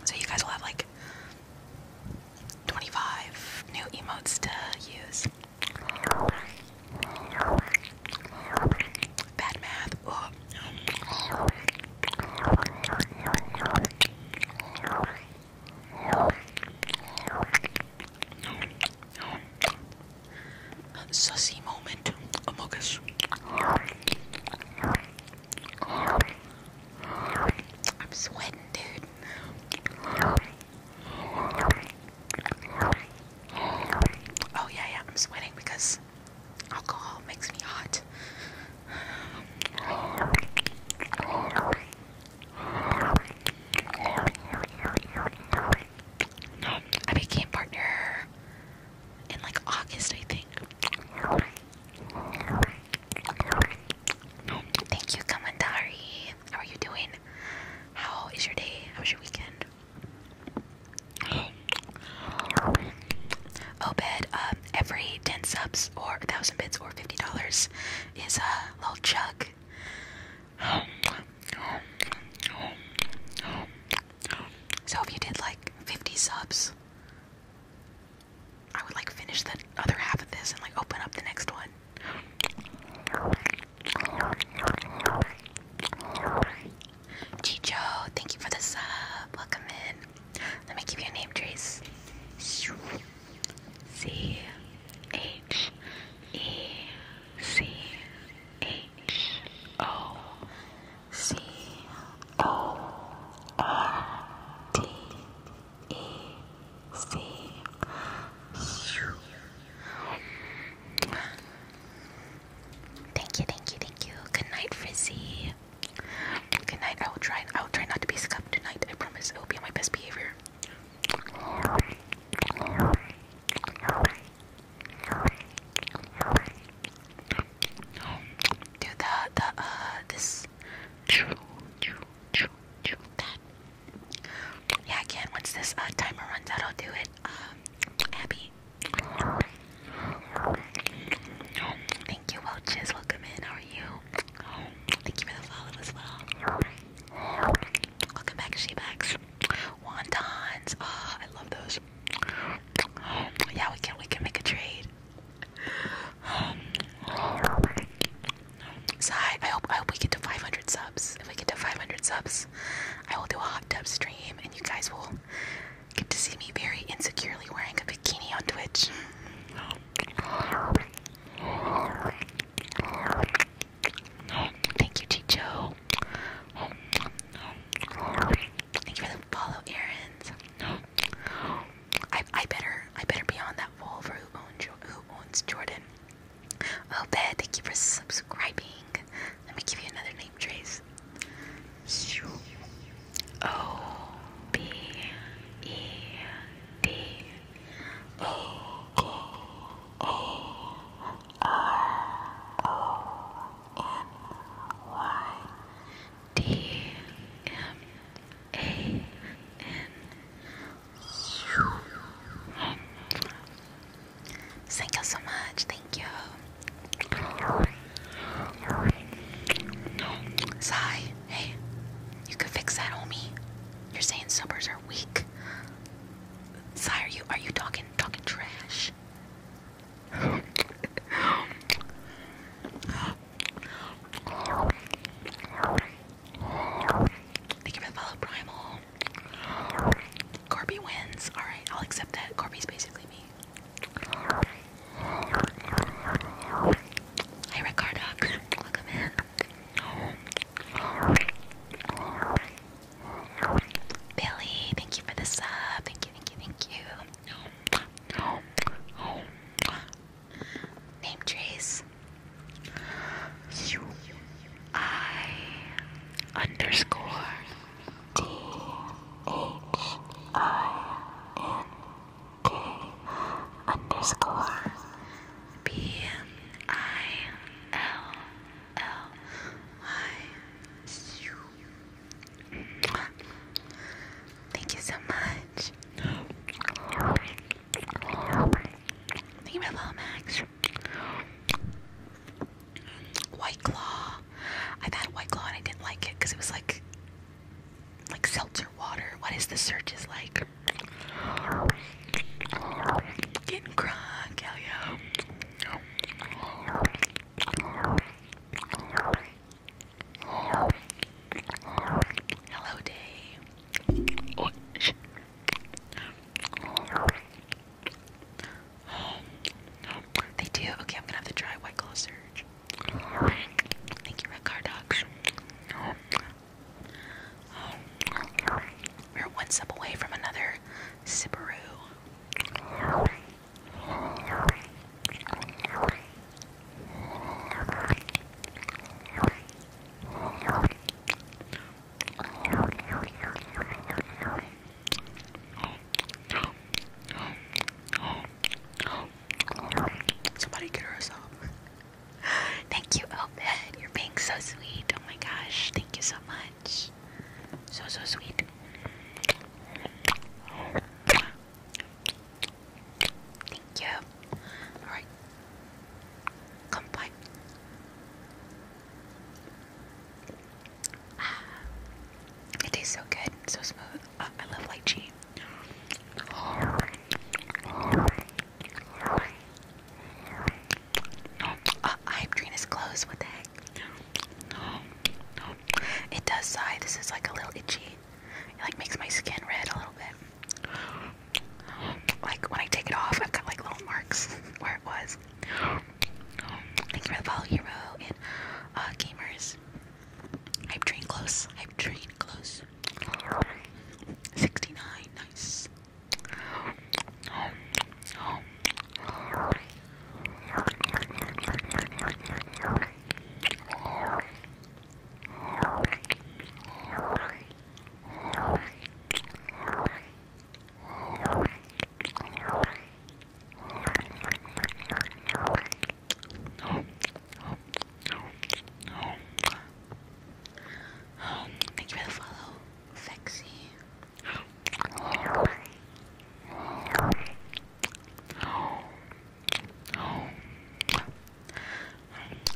A: So you guys will have like 25 new emotes to use. Bad math. Oh. Sussy moment, among us. I'm sweating, dude. Oh yeah, yeah, I'm sweating because Alcohol makes me hot. I became partner in like August, I think. Thank you, Kamandari. How are you doing? How is your day? How was your weekend? Obed, oh, um, every 10 subs or 1,000 bits or $50 is a little chug. So if you did like 50 subs, I would like finish the other half of this and like open up the next one. Chicho, thank you for the sub. Welcome in. Let me give you a name, Trace. C H E C H O C O R T E C. Thank you, thank you, thank you. Good night, Frizzy. Good night. I will try. I will try not to be scuffed tonight. I promise. I will be on my best behavior. Dude, the the uh this. Yeah, I Once this uh, timer runs out, I'll do it. Um, Abby. Thank you, Welches. Welcome in. How are you? Thank you for the follow as well. Welcome back, Shebax. Wontons. Oh, I love those. Yeah, we can we can make a trade. So I, I hope I hope we get to 500 subs. If we get to 500 subs, I will do a hot tub stream, and you guys will Get to see me very insecurely wearing a bikini on Twitch. Thank you, Chicho. Thank you for the follow, errands. I, I better I better be on that wall who owns who owns Jordan. Oh, bad. Thank you for subscribing. Let me give you another name trace. O B E D A K A R O N Y D M A N Thank you so much. Thank you. Sigh, hey, you can fix that, homie. You're saying summers are weak. Sigh, are you are you talking talking trash? Thank you for follow, Primal. Corby wins. Alright, I'll accept that. Corby's basically me. Hey welcome in. Billy, thank you for the sub. Thank you, thank you, thank you. Name Trace. I underscore D H I N K underscore B I L L Y. Thank you so much. Thank you, little Max. White Claw. I've had White Claw and I didn't like it because it was like like seltzer water. What is the search is like? Getting crunk, hell yeah. Hello, day. They do. Okay, I'm gonna have to try White Claw Thank you, Red Car Dogs. We're one sip away from another Sipperoo. Somebody get her a song. Thank you, Obed. You're being so sweet. Oh my gosh. Thank you so much. So, so sweet. Thank you. Alright. Come um, it tastes so good, so smooth. I love lychee. Uh, I am Trina's What the heck? It does sigh. This is like a little itchy. It like makes my skin red a little bit. Like when I take it off, I've got like little marks where it was. Thank you for the follow, hero and uh, gamers. I've trained close. I've trained close. 69. Nice. Thank you for the follow, Fexy.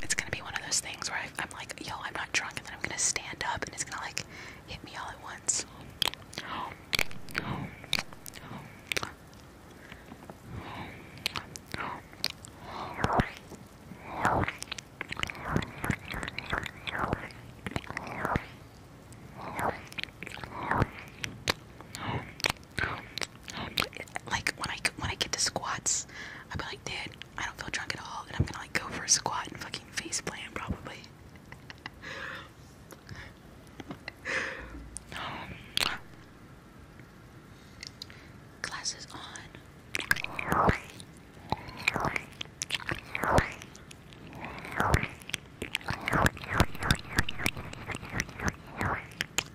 A: It's gonna be one of those things where I, I'm like, yo, I'm not drunk, and then I'm gonna stand up, and it's gonna like hit me all at once. Like when I when I get to squats, I'll be like, dude, I don't feel drunk at all, and I'm gonna like go for a squat and fucking face plant probably. Um, glasses on.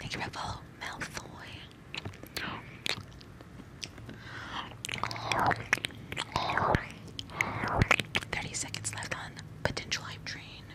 A: Thank you for the follow, Thirty seconds left on potential hype train.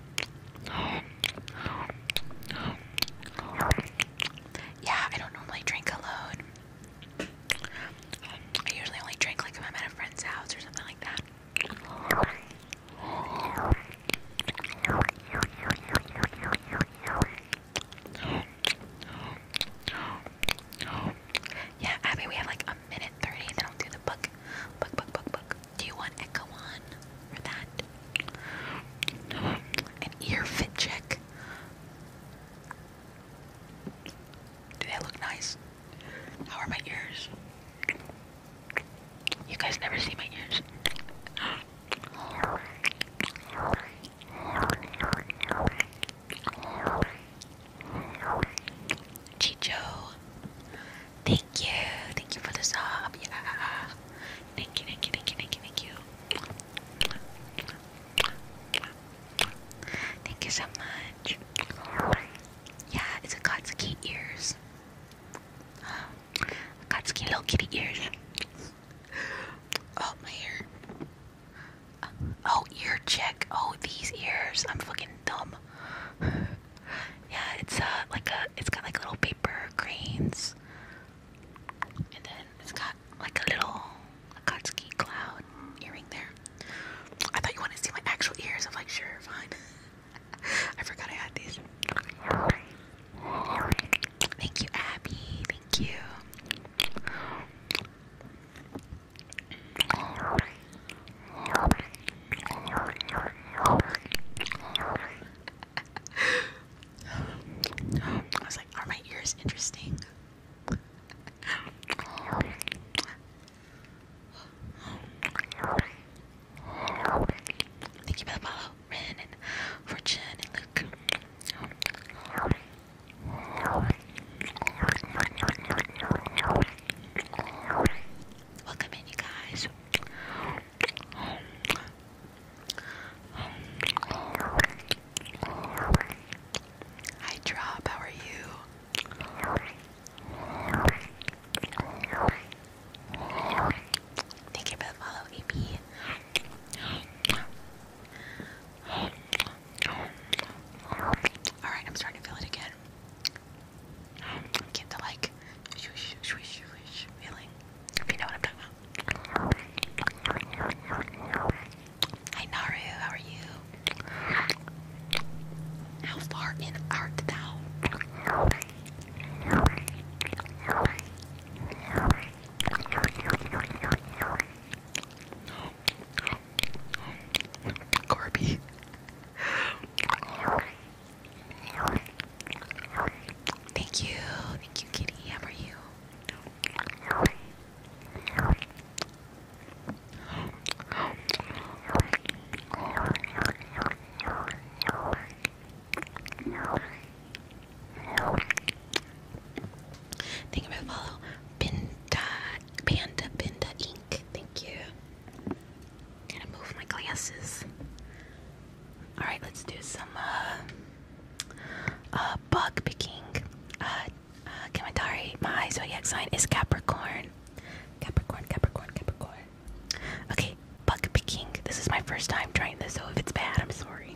A: Yeah, I don't normally drink alone. I usually only drink like if I'm at a friend's house or something like that. Yeah, Abby, we have like a minute thirty, then I'll do the book, book, book, book, book. Do you want echo on for that? An ear fit check. Do they look nice? How are my ears? You guys never see my ears. Chicho, thank you, thank you for the sub. Thank you, thank you, thank you, thank you, thank you. Thank you so much. Yeah, it's a Katsuki ears. Uh, Akatsuki little kitty ears. Oh, my ear. oh, ear check. Oh, these ears. I'm fucking dumb. yeah, it's uh like a, it's got like little paper cranes. And then it's got like a little Akatsuki cloud earring there. I thought you wanted to see my actual ears. I'm like, sure, fine. I forgot I had these. Thank you, Abby. Thank you. I was like, are my ears interesting? Thank you for the Ren and Fortune and Luke. Welcome in, you guys. Hi, Drop. How are you? Thank you for the follow, AP. Alright, I'm starting to feel it again. Get the like, swish, swish, swish feeling. If know Hey Naru, how are you? How far in art thou? Corby. Thank you. Thank you, Kitty. How are you? Thank you follow. Pinda, Panda Pinda Ink. Thank you. Gotta move my glasses. All right, let's do some uh, uh, bug picking. Uh, uh, my zodiac sign is Capricorn. Capricorn, Capricorn, Capricorn. Okay, bug picking. This is my first time trying this, so if it's bad, I'm sorry.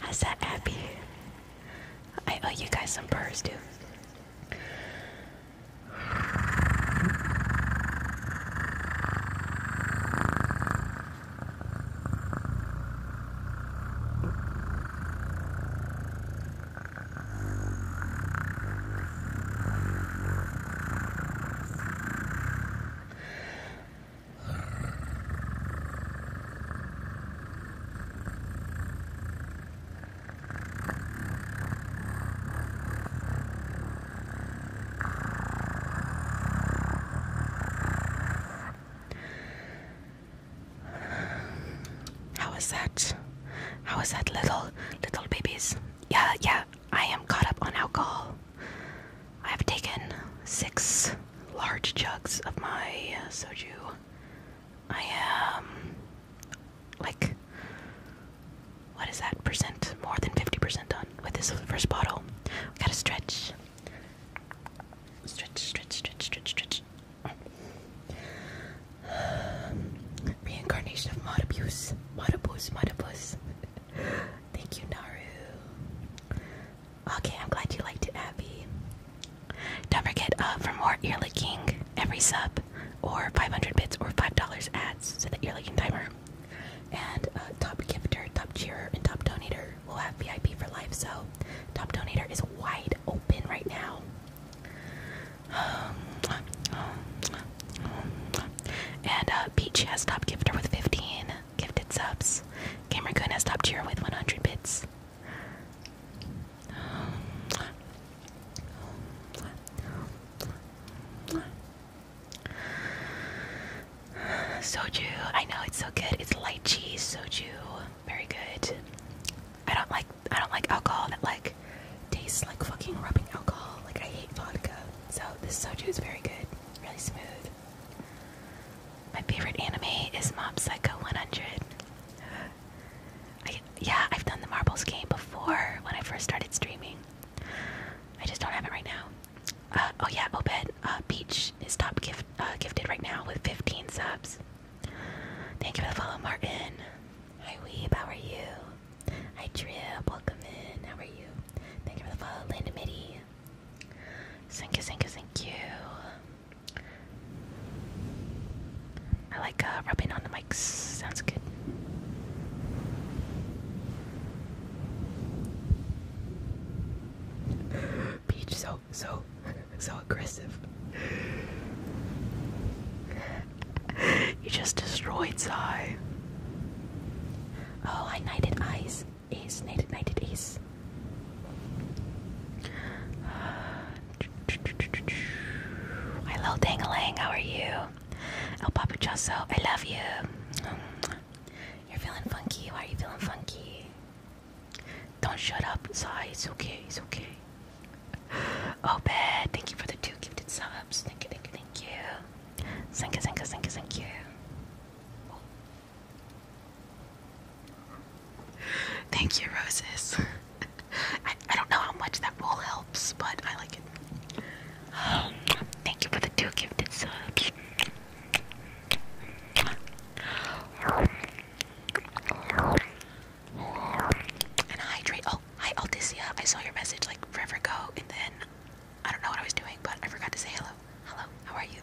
A: How's that, Abby? I owe you guys some purrs, too. How is that? How is that, little little babies? Yeah, yeah. I am caught up on alcohol. I have taken six large jugs of my uh, soju. I am like, what is that percent? More than 50% done with this first bottle. gotta stretch. Stretch, stretch, stretch, stretch, stretch. reincarnation of mod abuse. Mod abuse, mod abuse. Thank you, Naru. Okay, I'm glad you liked it, Abby. Don't forget uh, for more ear licking every sub or 500 bits or $5 ads to the ear licking timer. And uh, top gifter, top cheerer, and top donator will have VIP for life. So, top donator is wide open right now. Um, um, um, and uh, Peach has top gifter with 15 gifted subs. Gamer Kun has topped tier with 100 bits. Soju, I know it's so good. It's light cheese soju, very good. I don't like I don't like alcohol that like tastes like fucking rubbing alcohol. Like I hate vodka. So this soju is very good, really smooth. My favorite anime is Mob Psycho 100. I, yeah, I've done the marbles game before when I first started streaming. I just don't have it right now. Uh, oh yeah, Obed uh, Peach is top uh, gifted right now with 15 subs. Thank you for the follow, Martin. Hi Weeb, how are you? Hi Trip, welcome in. How are you? Thank you for the follow, Linda Mitty. Thank you, thank you, thank you. I like uh, rubbing on the mics, sounds good. Peach, so, so, so aggressive. you just destroyed Sai. Oh, I knighted eyes. Ace, knighted, knighted, ace. Hello, Dangalang, how are you? El Papuchoso, I love you. You're feeling funky. Why are you feeling funky? Don't shut up, Sai. It's okay. It's okay. Oh, bad. Thank you for the two gifted subs. thank you. Thank you, thank you, thank you, thank you. Thank you, roses. I, don't know how much that will help, but I like it. thank you for the two gifted subs. And hydrate. Oh, hi, Altisia. I saw your message like forever go and then I don't know what I was doing, but I forgot to say hello. Hello, how are you?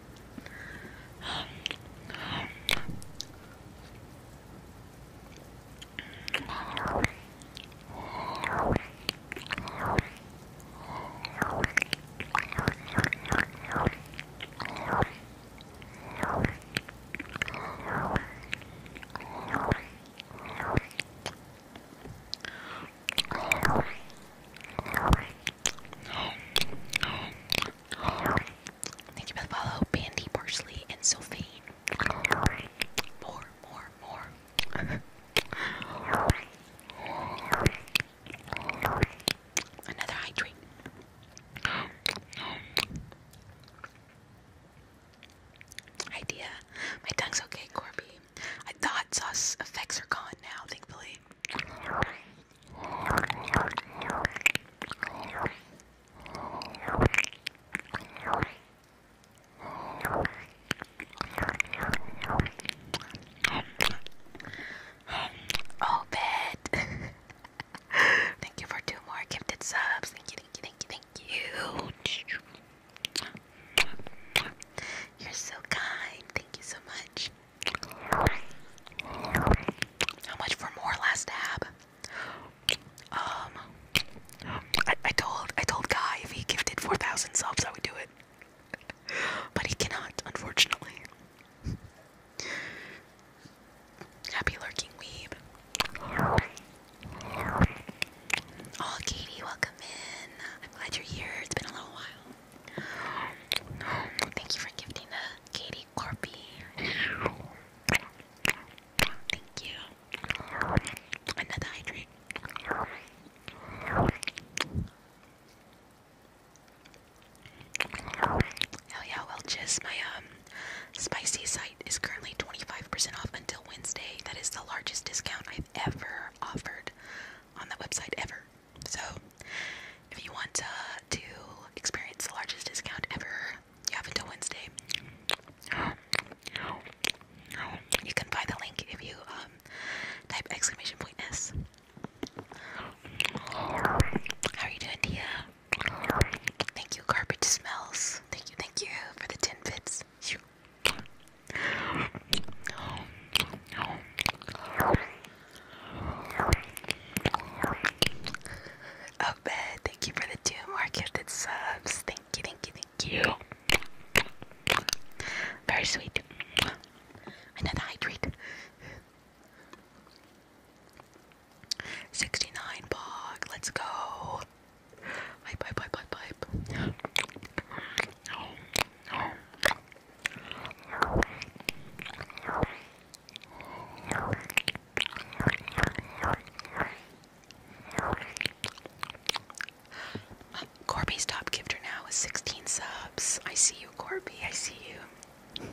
A: Thank you for the follow, Parsley, and Sylvain. More, more, more. Another hydrate. Idea. My tongue's okay, Corby. I thought sauce effects are gone now, thankfully. Oh, thank you for two more gifted subs. Thank you, thank you, thank you, thank you. You're so kind. Thank you so much. How much for more last tab? Um, I, I told I told Guy if he gifted four thousand subs, I would do it, but he cannot, unfortunately. Happy lurking weeb. Oh, Katie, welcome in. I'm glad you're here. It's been a little while. Thank you for gifting the Katie Corby. Thank you. Another hydrate. Hell yeah, well just my um spicy site is currently 25% off until Wednesday. That is the largest discount I've ever offered on that website ever. So, if you want uh, to experience the largest discount ever, you have until Wednesday. You can find the link if you um, type exclamation point S. How are you doing, Tia? Thank you, Garbage Smells. Thank you, thank you for the 10 bits. Oh, Thank you for the two more gifted subs. Thank you, thank you, thank you. Very sweet. Another hydrate. 69 bog. Let's go. Pipe, pipe, pipe, pipe, pipe. Corby's top gifter now is 16 subs. I see you, Corby. I see you.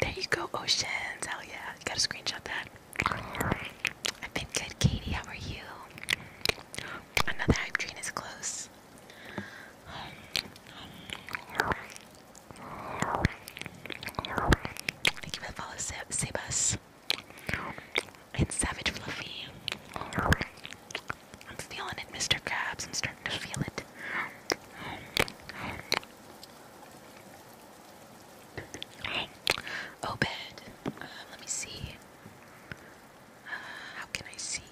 A: There you go, Oceans. Hell yeah. gotta screenshot that. I've been good, Katie. How are you? Another hype is close. Thank you for the follow, Sebas. Savage Fluffy. I'm feeling it, Mr. Krabs. I'm starting to feel it. Obed. Oh, um, uh, let me see. Uh, how can I see?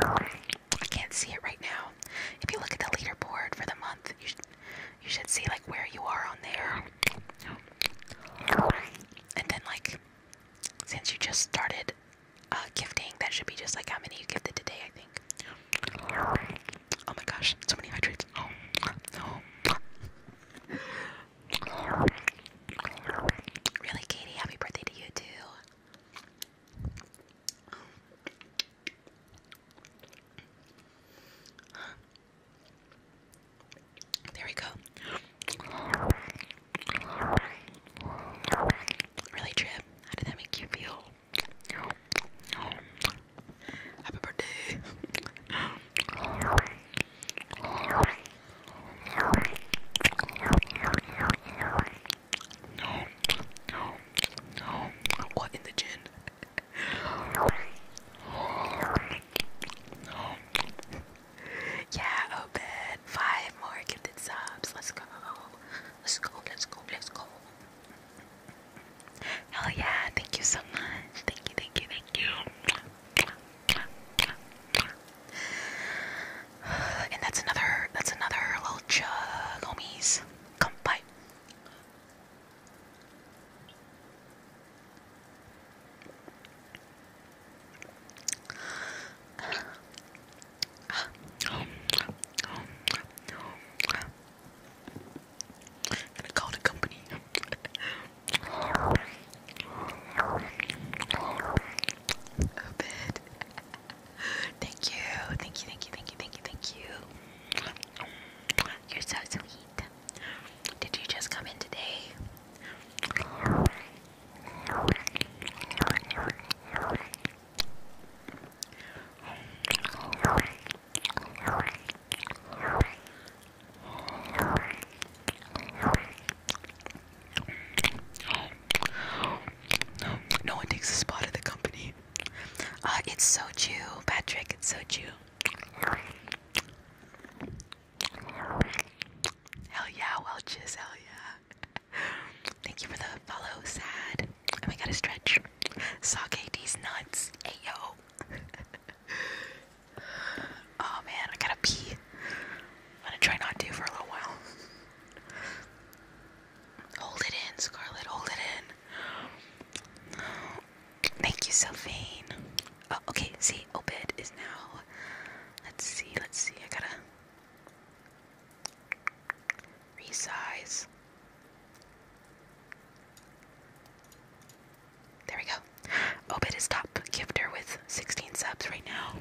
A: I can't see it right now. If you look at the leaderboard for the month, you should see like where you are on there. And then like since you just started uh, gifting. That should be just like how many you gifted today, I think. Oh my gosh, so many hydrates. Oh, Really, Katie, happy birthday to you too. There we go. Really, Trip? How did that make you feel? Happy birthday. What in the gin? Yeah, oh bed. Five more gifted subs. Let's go. Let's go, let's go, let's go. Hell yeah, thank you so much. Thank you, thank you, thank you. And that's another that's another little chug homies. Come Gonna call the company. A Thank you, thank you, thank you, thank you, thank you, thank you. You're so sweet. Did you just come in today? No one takes the spot of the company. Uh, it's soju, Patrick. It's soju. Hell yeah, Welch's. Hell yeah. Thank you for the follow, sad. and we gotta stretch. Sake these nuts. Hey yo. oh man, I gotta pee. I'm gonna try not to for a little while. Hold it in, Scarlet. Hold it in. Thank you, Sylvain. Oh, okay. See, Obed is now. Let's see. Let's see. I gotta. Resize. There we go. Obit is top gifter with 16 subs right now.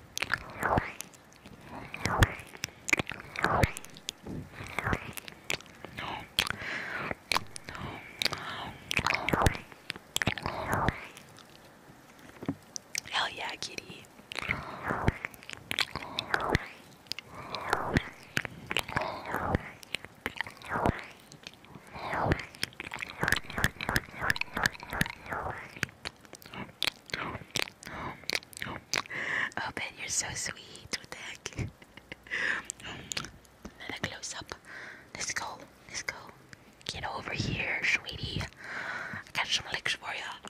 A: Hell yeah, kitty. Oh, Ben, you're so sweet. What the heck? Another close up. Let's go. Let's go. Get over here, sweetie. I got some licks for ya.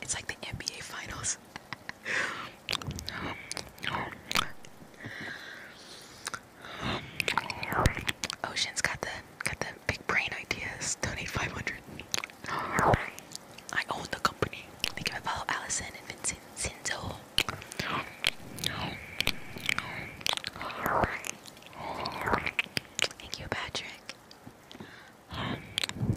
A: It's like the NBA finals. Ocean's got the got the big brain ideas. Donate 500. I own the company. They can follow Allison and Vincent Sinzo. Thank you, Patrick. I'm a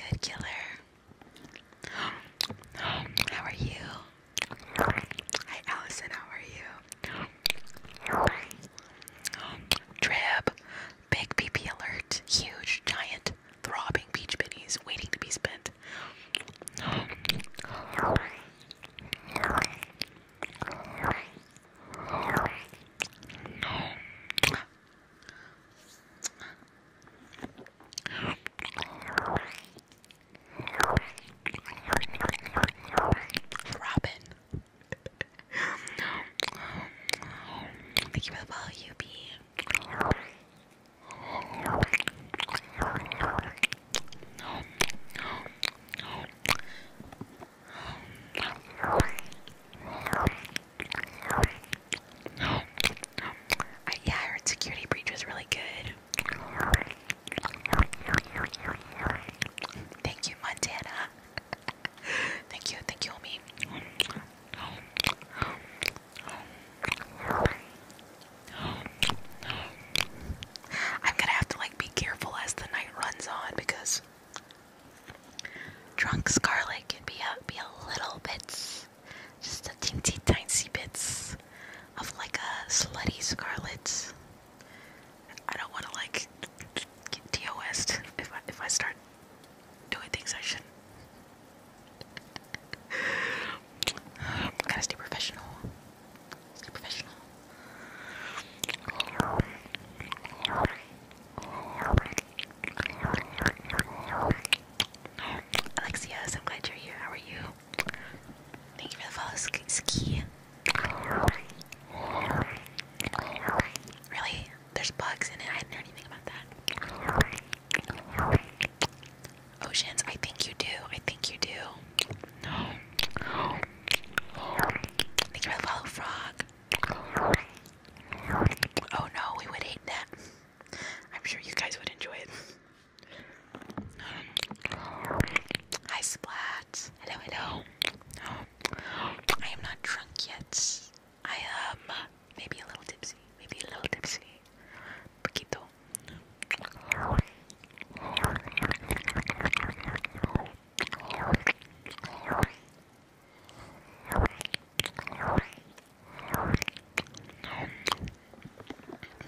A: good killer. How are you? Hi, Allison. How are you? Drib, big PP alert, huge, giant, throbbing peach bunnies waiting to be spent. Robin, Thank you for the follow, UB. I, uh, yeah, I heard Security Breach was really good. Thank you, Montana. thank you, thank you, homie. I'm gonna have to like be careful as the night runs on because drunk Scarlet can be a be a little bit, just a teensy tiny bits of like a slutty Scarlet. I don't want to like get DOS'd if I, if I start doing things I shouldn't. I gotta stay professional. Stay professional. Alexia, i glad you're here. How are you? Thank you for the Really? There's bugs in it. I didn't hear anything about that. Oceans, I think you do. I think you do. No. Thank you for the follow, frog. Oh no, we would hate that. I'm sure you guys would enjoy it. Hi, Splat. Hello, hello. Um, I am not drunk yet. I am maybe a little tipsy. Maybe a little tipsy. Poquito.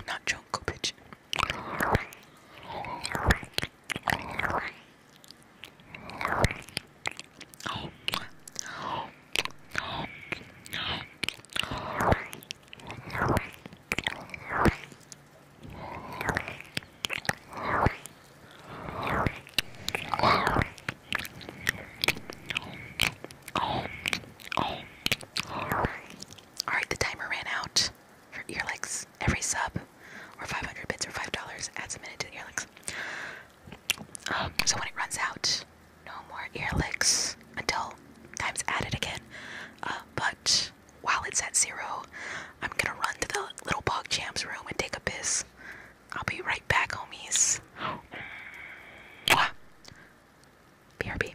A: Not drunk, bitch. All right, the timer ran out for earlicks. Every sub or 500 bits or $5 adds a minute to the earlicks. Um, so when it runs out, no more earlicks until time's added again. Uh, but while it's at zero, I'm gonna run to the little bog champs room and take a piss. I'll be right back, homies. BRB.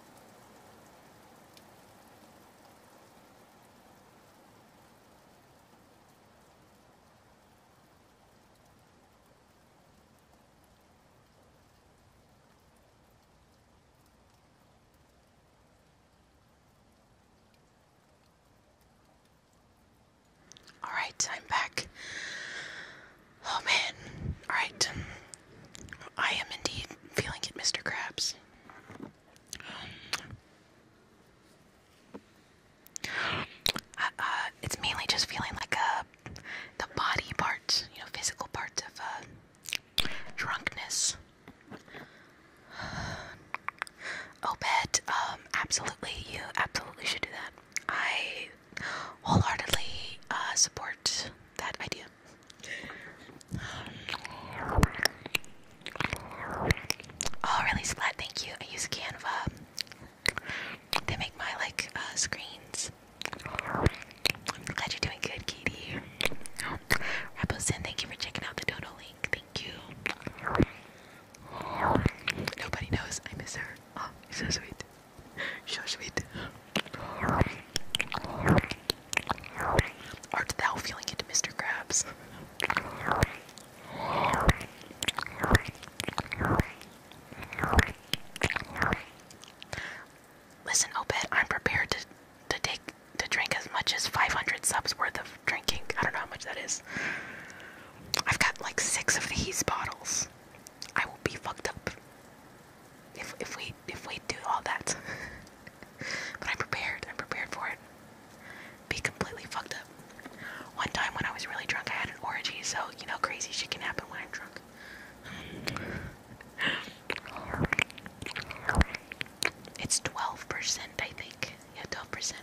A: All right, I'm back. Oh man. Alright. I am indeed feeling it, Mr. Krabs. Um, uh, uh, it's mainly just feeling like a uh, the body parts, you know, physical parts of a uh, drunkenness. Oh, bet. Um, absolutely, you absolutely should do that. I wholeheartedly uh, support that idea. Oh, really, Splat, thank you. I use Canva. They make my, like, uh, screens. glad you're doing good, Katie. Raposin, thank you for checking out the Dodo link. Thank you. Nobody knows I miss her. Oh, she's so sweet. Shush it. Art thou feeling it, Mr. Krabs? Listen, Obed, I'm prepared to to take to drink as much as 500 subs worth of drinking. I don't know how much that is. I've got like six of these bottles. I will be fucked up if if we if we do all that. but I'm prepared. I'm prepared for it. Be completely fucked up. One time when I was really drunk, I had an orgy, so you know crazy shit can happen when I'm drunk. It's 12%, I think. Yeah, 12%.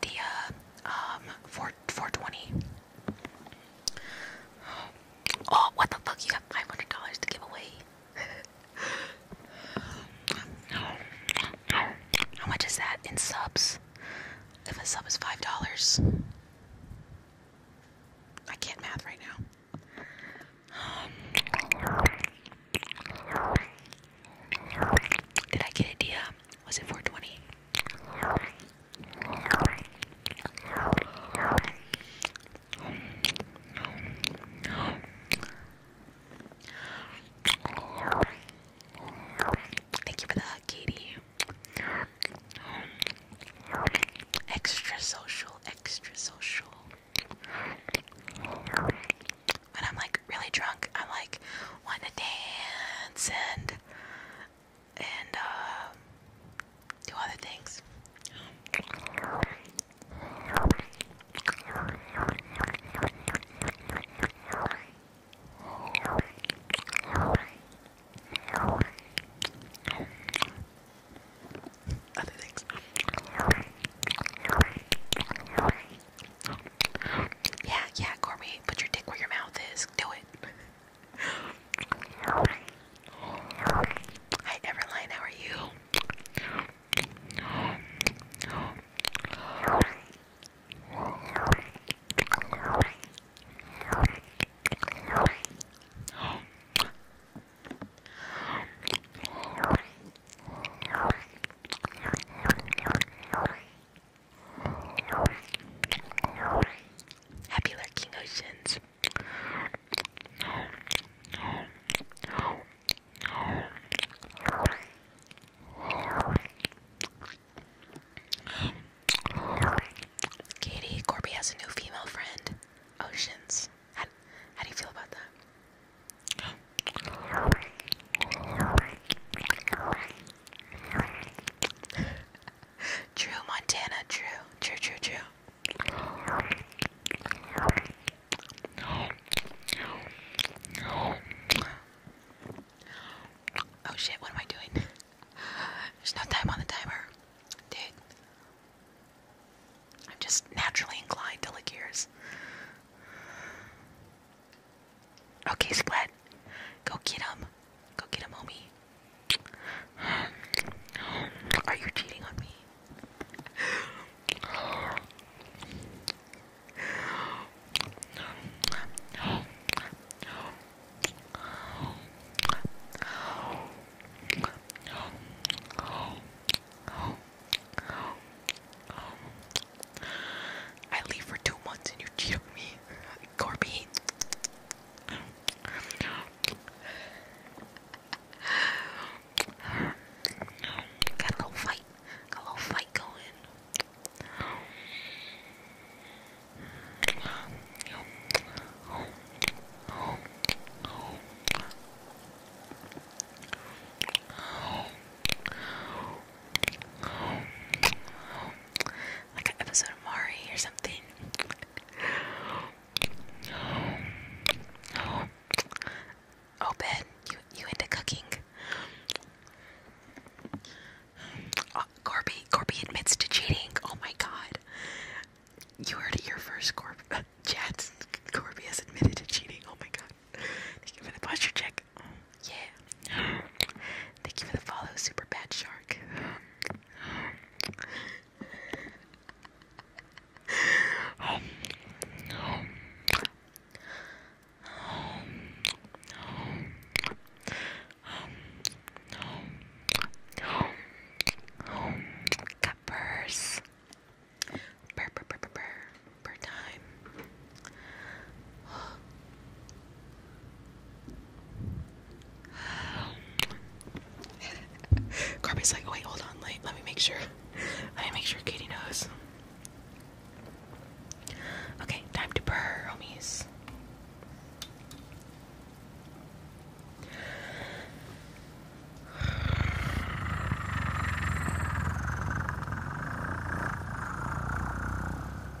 A: The uh, um, 4 420 Oh, what the fuck? You got five hundred dollars to give away. How much is that in subs? If a sub is five dollars, I can't math right now. Did I get a deal? Was it 420? Thank you for the hug, Katie. Extra social, extra social. When I'm like really drunk, I'm like want to dance and and uh, do other things. Other things. Yeah, yeah, Corby, put your dick where your mouth is. Do it. Hi Everline, how are you? Happy lurking oceans. Katie, Corby has a new female friend. Oceans. How, how do you feel about that? True Montana, true, true, true, true. Oh shit, what am I doing? There's no time on the timer. Dude. I'm just naturally inclined to lick yours. Okay, Splat. Go get him. Go get him, homie. Are you cheating on me? I leave for two months and you cheat on me. Corby, Got a little fight. a little fight going. Like an episode of Mari or something. Oh, Ben, you you into cooking? Uh, Corby, Corby admits to cheating. Oh my God! You heard it here first, Corb. Chad, Corby has admitted to cheating. Oh my God! Thank you for the posture check. Yeah. Thank you for the follow, Super Bad Shark. Cuppers. Burr, burr, burr, burr, burr, burr time. Carby's like, wait, hold on, let me make sure. Let me make sure Katie knows. Okay, time to purr, homies.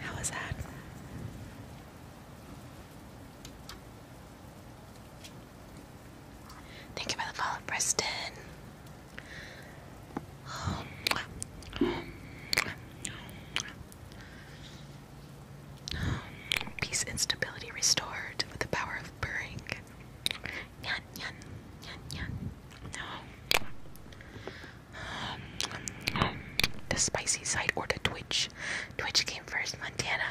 A: How that? Thank you for the follow, Preston. Oh. Peace and stability restored with the power of purring. Yan, yan, yan, yan. No. The spicy side or the Twitch. Twitch came first, Montana.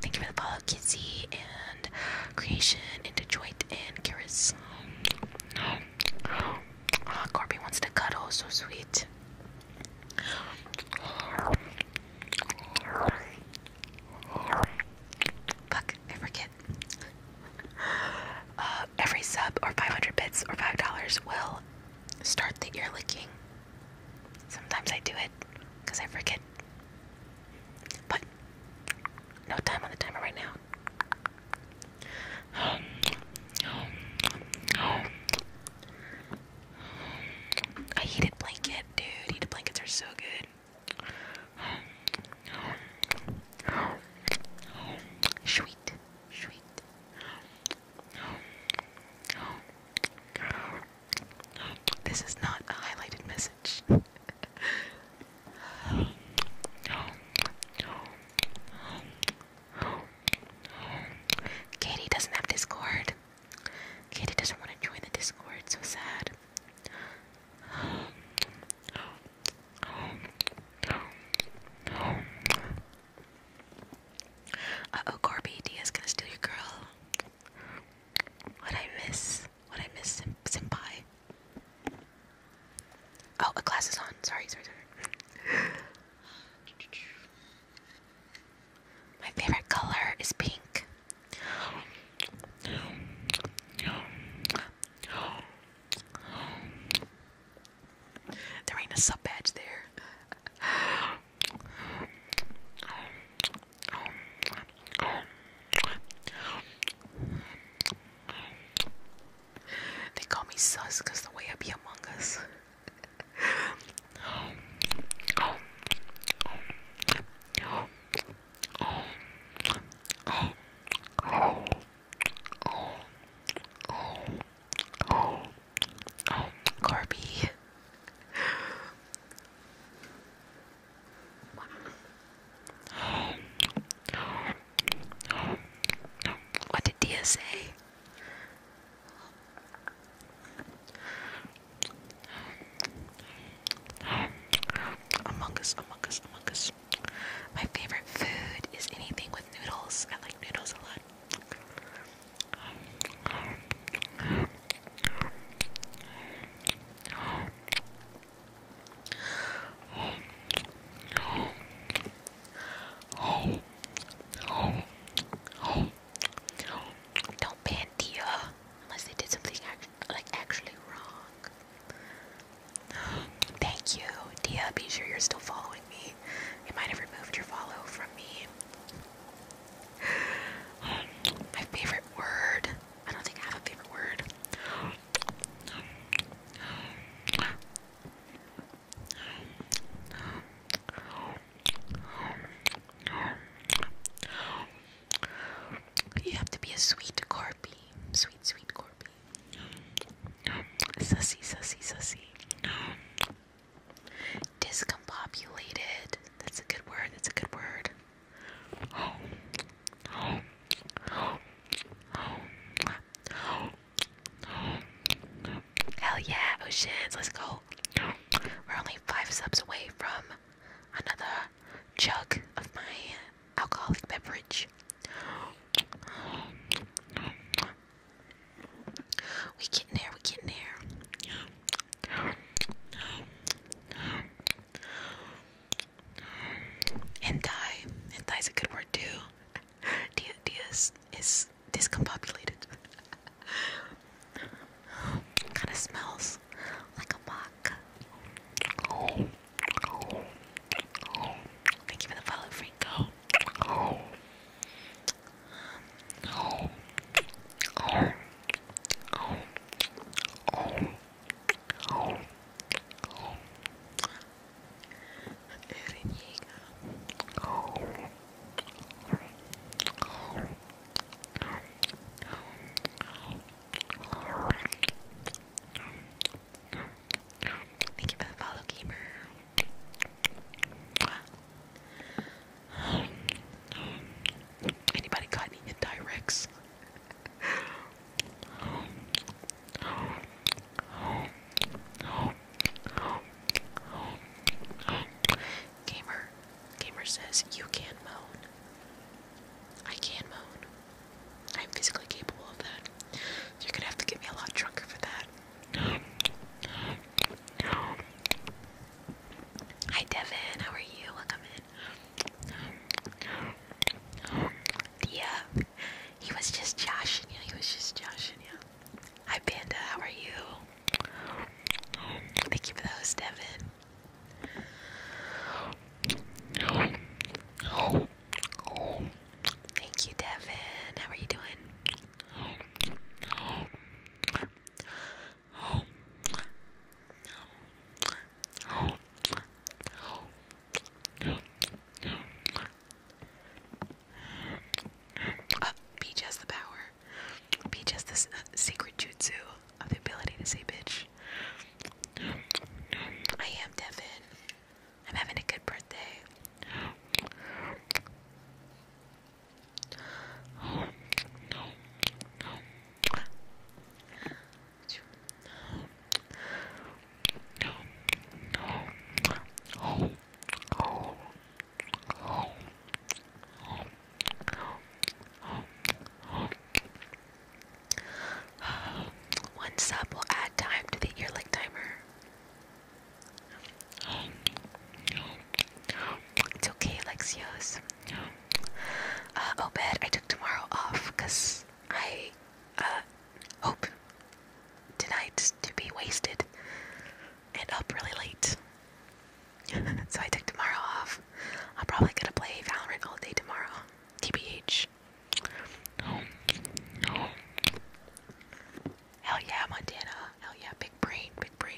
A: Thank you for the follow, Kizzy and Creation and Detroit and Karis. Ah, Corby wants to cuddle, so sweet. Fuck, I forget. Uh, every sub or 500 bits or $5 will start the ear licking. Sometimes I do it because I forget. But no time on the timer right now. I heated blanket, dude. Heated blankets are so good. Sweet, sweet. This is not a highlighted message. Katie doesn't have Discord. Katie doesn't want to join the Discord, so sad. Uh oh, Corby, Dia's gonna steal your girl. What I miss? What I miss, Sim Oh, a class is on. Sorry, sorry, sorry. My favorite color is pink. There ain't a sub badge there. They call me sus the way I be among us. Corby. What did Dia say? Among Us, Among Us, Among Us. My favorite food is anything with noodles. I like noodles a lot. Oh, Don't ban Dia unless they did something like actually wrong. Thank you, Dia. Be sure you're still following me. You might have removed your follow from me. My favorite word. I don't think I have a favorite word. You have to be a sweet corpy. Sweet, sweet corpy. Sussy, sussy, sussy. Discombobulated. That's a good word. That's a good word. Hell yeah, Oceans, oh let's go. We're only five subs away from another jug of my alcoholic beverage. We getting there, we getting there. And Hentai is a good word too. Dia Dia is, discombobulated. Kinda smells like a mock. Thank you for the follow, Franco. Thank you for the follow, Anybody got any indirects? Gamer, gamer says you can moan. I can moan. I'm physically capable of that. You're gonna have to get me a lot drunker for that. Hi Devin, how are you? Welcome in. Yeah, he was just joshing you. He was just joshing you. Hi Panda, how are you? Thank you for the Devin. Thank you, Devin. How are you doing? Uh, be just the power. Peach has this uh, secret jutsu of the ability to say bitch. I am Devin. I'm having a good birthday. One sub will add time to the earlick timer. It's okay, Lexios. Uh, Obed, oh, I took tomorrow off because I uh, hope tonight to be wasted and up really late. so I took tomorrow off. I'm probably gonna play Valorant all day tomorrow. TBH. Hell yeah, Montana. Hell yeah, big brain, big brain.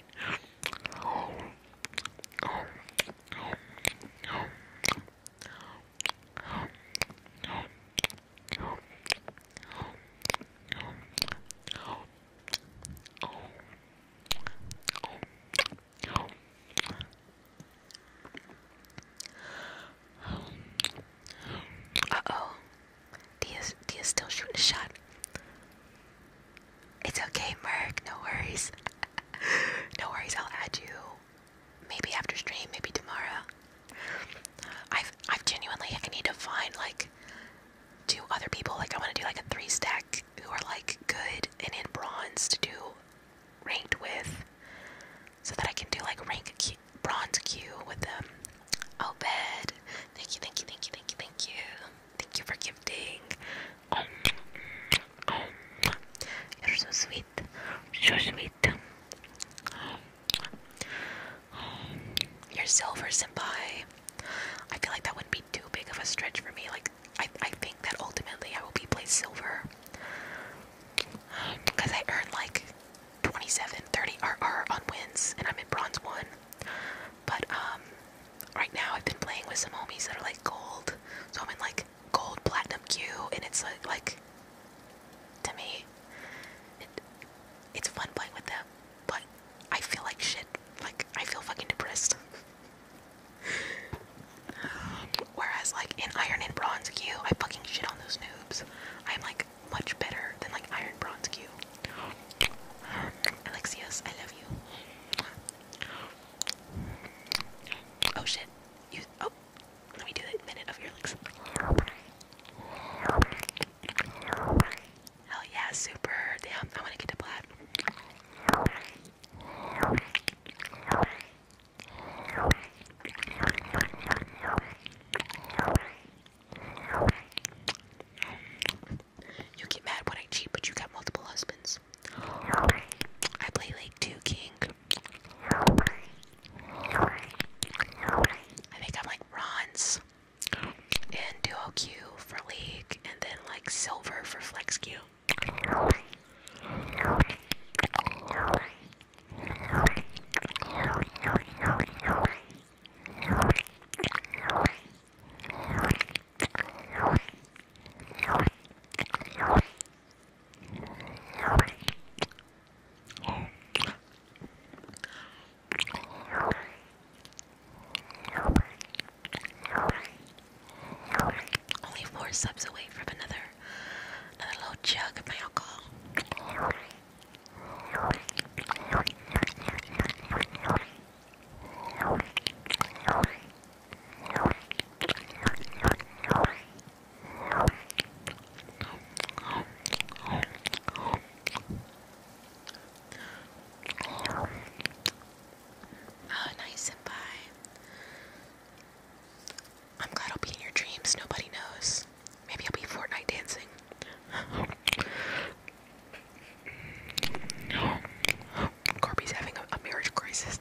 A: Uh oh. Dia's, Dia's still shooting a shot. It's okay, Merc. No worries. no worries. I'll add you. Maybe after stream. Maybe tomorrow. I've I've genuinely I need to find like do other people. Like I want to do like a three stack who are like good and in bronze to do ranked with, so that I can do like rank Q, bronze queue with them. Oh, bed. Thank you, thank you, thank you, thank you, thank you. Thank you for gifting. Um, you're so sweet. So sweet. Your silver, senpai. I feel like that wouldn't be too big of a stretch for me. Like, I, I think that ultimately I will be placed silver. Because I earned like 27, 30 RR on wins, and I'm in bronze 1. But, um, right now I've been playing with some homies that are like gold. So I'm in like gold platinum Q, and it's like, like to me, it, it's fun playing with them. But I feel like shit. Like I feel fucking depressed. Whereas like in Iron and Bronze Q, I fucking shit on those noobs. I'm like much better than like Iron Bronze Q. Alexius, I love you. Oh shit. You oh let me do that minute of your legs. Hell yeah, super. Damn, I want to get to black. You get mad when I cheat, but you got multiple husbands. I play like two king. I think I'm like bronze and duo Q for league, and then like silver for flex Q. Only four subs away from another another little jug of my alcohol. Oh, nice and bye. I'm glad I'll be in your dreams. Nobody knows. Maybe I'll be Fortnite dancing. Corby's having a, marriage crisis.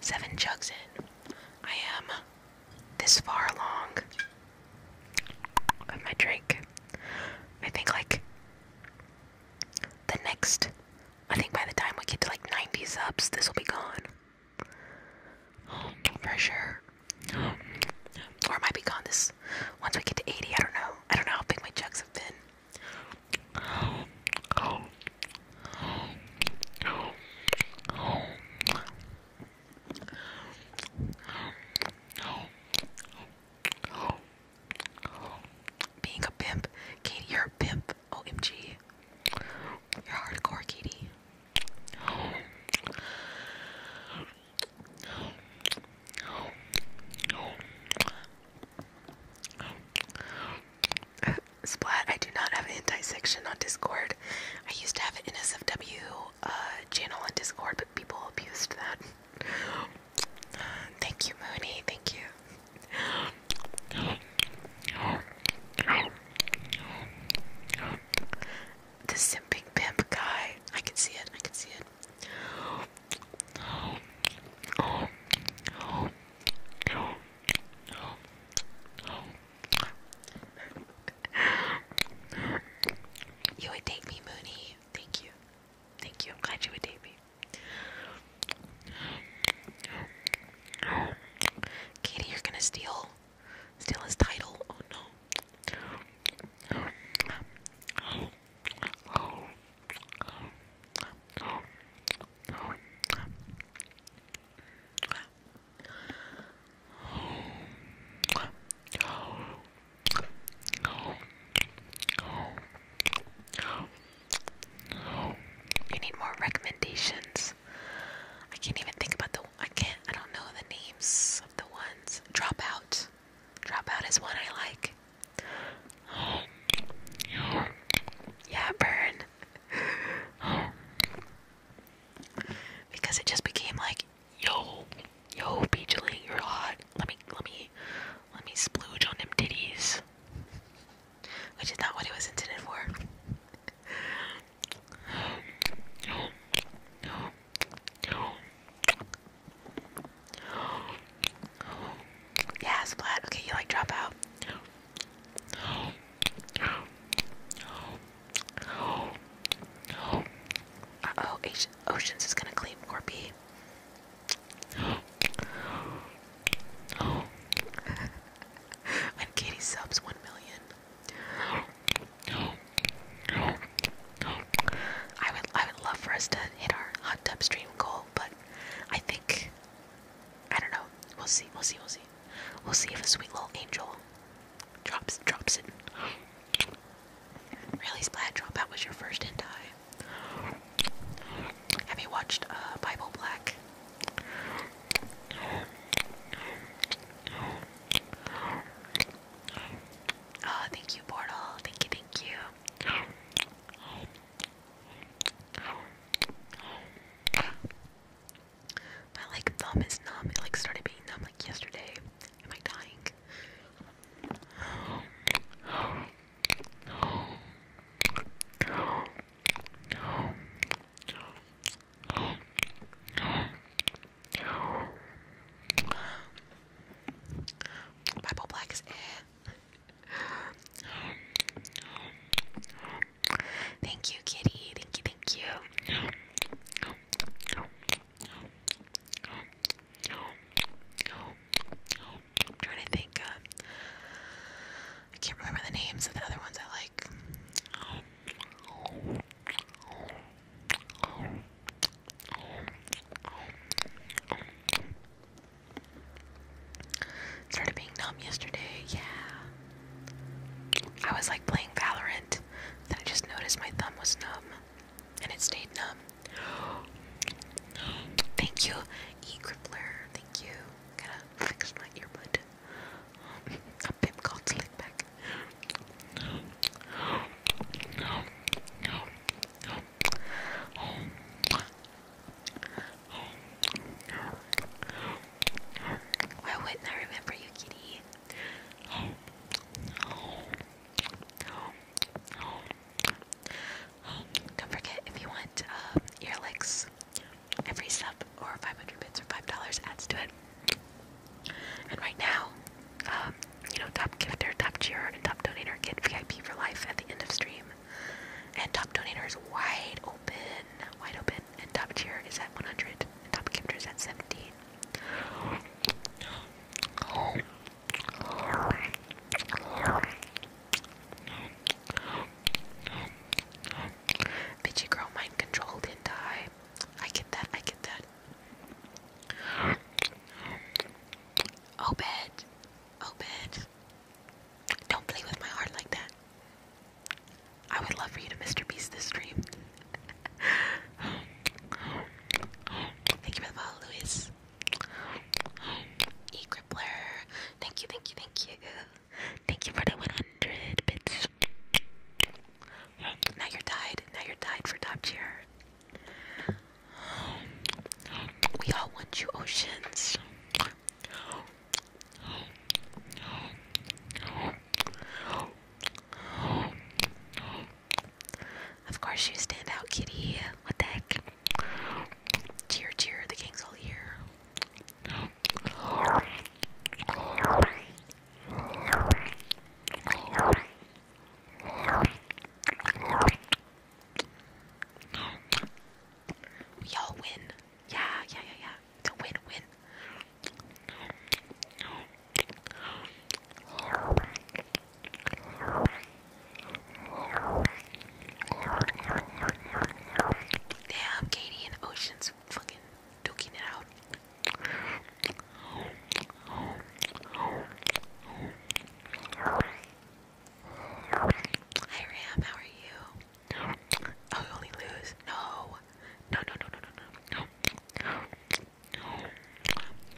A: Seven jugs in. I am this far along of my drink. I think like the next I think by the time we get to like 90 subs, this will be gone. For Or it might be gone this once we get to 80, I don't know. I don't know how big my chugs have been. Being a pimp, Katie, you're a pimp. OMG. You're hardcore, Katie. Splat, I do not have an anti-section on Discord. I used to have an NSFW uh, channel on Discord, but people abused that. Thank you, Mooney. Thank you. The simping pimp guy. I can see it. I can see it you would date me, Mooney. Thank you. Thank you. I'm glad you would date me. Katie, you're gonna steal steal his title. Oh no. You need more recommendations. I can't even think about the. I can't. I don't know the names of the ones. Dropout. Dropout is one I like. Yeah, burn because it just became like, yo, yo, Peach you're hot. Let me, let me, let me splooge on them ditties, which is not what it was intended for. Yeah, splat. Okay, you like drop uh-oh, Oceans is gonna clean Corby. And Katie subs 1 million. I would I would love for us to hit our hot tub stream goal, but I think I don't know. We'll see, we'll see, we'll see. We'll see if a sweet little angel Drops, drops it. Really, Splat Dropout was your first hentai. Have you watched uh, Bible Black? Oh, thank you, Portal. Thank you, thank you. My like thumb is numb. It like started being numb like yesterday. Am I dying? Bible Black Thank you, kitty. Thank you, thank you. I'm trying to think. I can't remember the names of the other ones I like. Started being numb yesterday, yeah. I was like playing Valorant, then I just noticed my thumb was numb, and it stayed numb. Thank you, E Crippler. Thank you. Gotta fix my earbud. A pimp called Slickback. Why wouldn't I remember you, kitty? Don't forget if you want uh, every sub or 500 bits or $5 adds to it. And right now, um, you know, top gifter, top cheerer, and top donor get VIP for life at the end of stream. And top donator is wide open, wide open and top tier is at 100, and top gifter is at 17. Bitchy girl mind control didn't die. I get that, I get that. Obed, Obed, don't play with my heart like that. I would love for you to Mr. Beast this stream. thank you for the Luis. E Crippler. Thank you, thank you, thank you. Thank you for the 100 bits. Now you're tied. Now you're tied for top tier. We all want you, oceans. Of course you stand out, kitty. What the heck? Cheer, cheer, the king's all here. We all win. Yeah, yeah, yeah, yeah. It's a win-win. Damn, Katie and Ocean's fucking duking it out. Hi Ram, how are you? Oh, only lose? No no, no, no, no, no, no,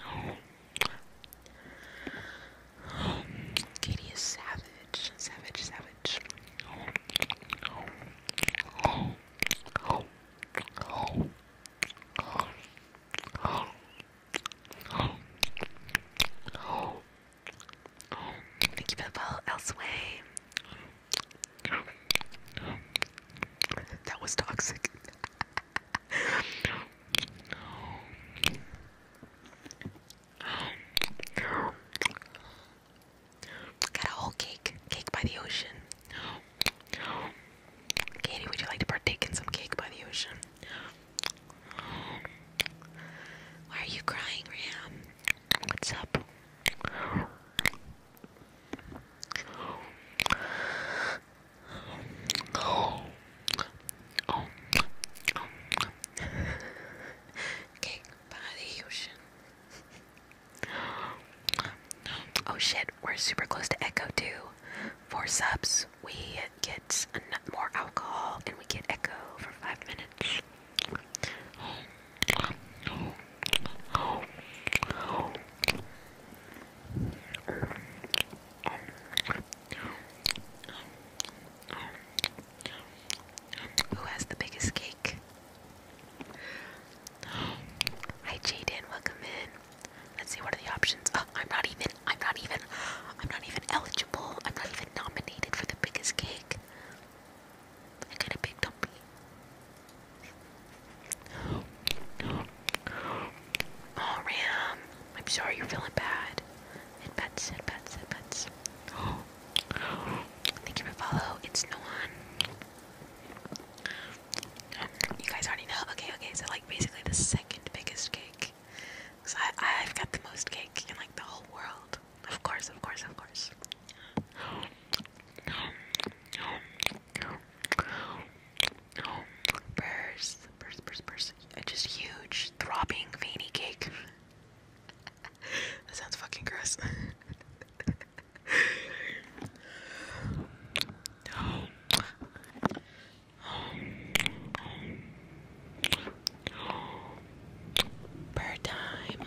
A: no, no. Katie is savage, savage, savage. Thank you for the follow, Elseway. That was toxic. Got a whole cake. Cake by the ocean. Katie, would you like to partake in some cake by the ocean? Why are you crying, Ram? What's up? Cake Ocean. Oh shit, we're super close to Echo too. Four subs, we get more alcohol and we get Echo for five minutes. Who has the biggest cake? Hi Jaden, welcome in. Let's see what are the options. Oh, I'm not even I'm not even I'm not even eligible. I'm not even nominated for the biggest cake. I got a big dumpy. Oh, Ram. I'm sorry you're feeling bad. It pets, it pets, it pets. Thank you for follow. It's no one. You guys already know. Okay, okay. So, like, basically the second biggest cake. Because I, I've got the most cake in, like, the whole world. Of course, of course, of course. Burst, burst, burst, burst. Just huge, throbbing, veiny cake. that sounds fucking gross. Bird time.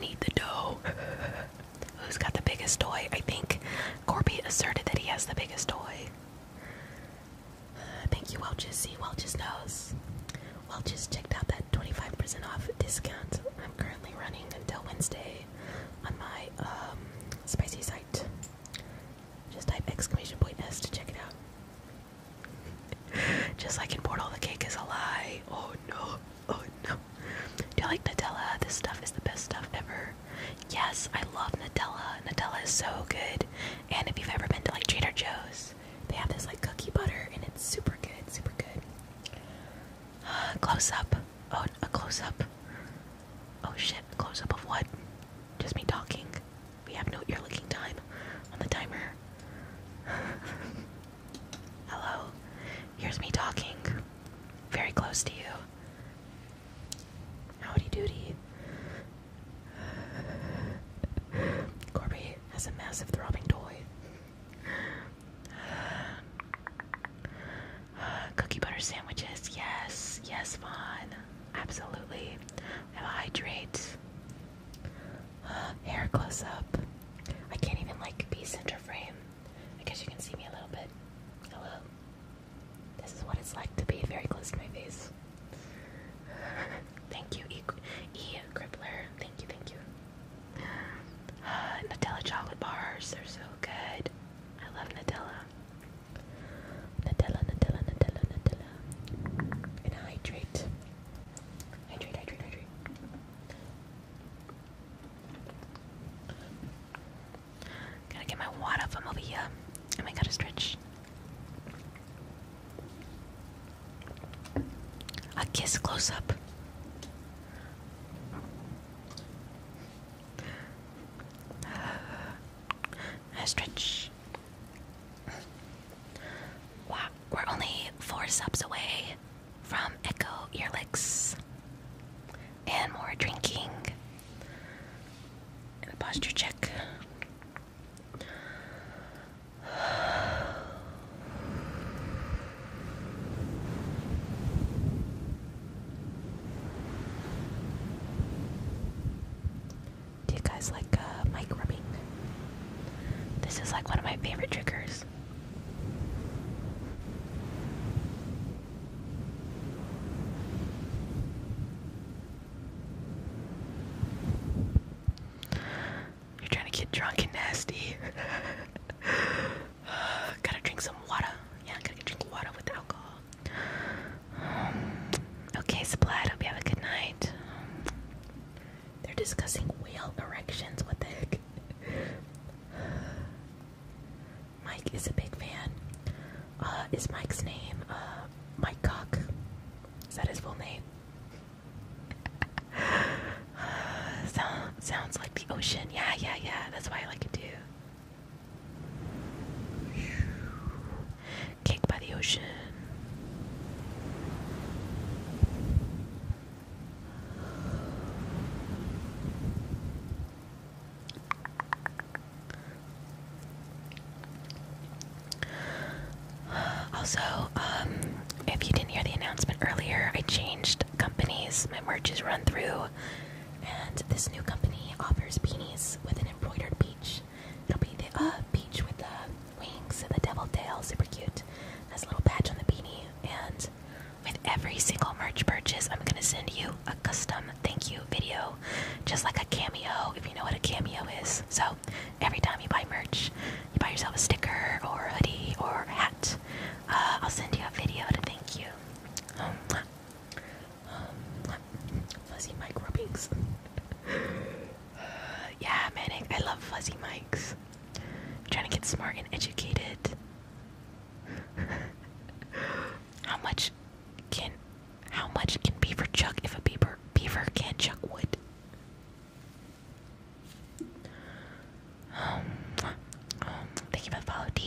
A: Need the dough. Who's got the biggest toy? I think Corby asserted that he has the biggest toy. Thank you, Welch's. See, Welch's knows. Welch's checked out that 25% off discount I'm currently running until Wednesday on my um, spicy site. Just type exclamation point S to check it out. Just like in Portal, the cake is a lie. Oh no, oh no. Do you like Nutella? This stuff is the best stuff ever. Yes, I love Nutella. Nutella is so good. And if you've ever been to like Trader Joe's, they have this like cookie butter and it's super good, super good. close up. Oh, a close up. Oh shit, close up of what? Just me talking. We have no ear looking time on the timer. Hello. Here's me talking. Very close to you. Howdy doody. Corby has a massive throbbing toy. cookie butter sandwiches, yes, yes, Vaughn, absolutely. We have a hydrate. Uh, hair close up. I can't even like be center frame. I guess you can see me a little bit. Hello. This is what it's like to be very close to my face. thank you, E. e Crippler. Thank you, thank you. Uh, Nutella chocolate bars, they're so good. I love Nutella. Nutella, Nutella, Nutella, Nutella. And hydrate. Hydrate, hydrate, hydrate. Gotta get my water from over here. And we going to stretch. A kiss close up. I stretch. Wow, we're only four subs away from Echo Earlicks. And more drinking and a posture check. Do you guys like uh, mic rubbing? This is like one of my favorite triggers. You're trying to get drunk and nasty. Uh, gotta drink some water. Yeah, gotta drink water with alcohol. Um, okay, Splat, hope you have a good night. they're discussing whale erections. What the heck? Mike is a big fan. Uh, is Mike's name? Uh, Mike Cock. Is that his full name? sounds like the ocean. Yeah, yeah, yeah. That's why I like it too. Cake by the ocean. Also, um, if you didn't hear the announcement earlier, I changed companies. My merch is run through, and this new company offers beanies with an embroidered peach. It'll be the peach uh, with the wings and the devil tail, super cute. Has a little patch on the beanie, and with every single merch purchase, I'm gonna send you a custom um, thank you video, just like a cameo, if you know what a cameo is. So every time you buy merch, you buy yourself a sticker or a hoodie or a hat, uh, I'll send you a video to thank you. Um, um, fuzzy mic yeah, man, I love fuzzy mics. trying to get smart and educated. How much can how much can beaver chuck if a beaver beaver can't chuck wood? Um, thank you for the follow, I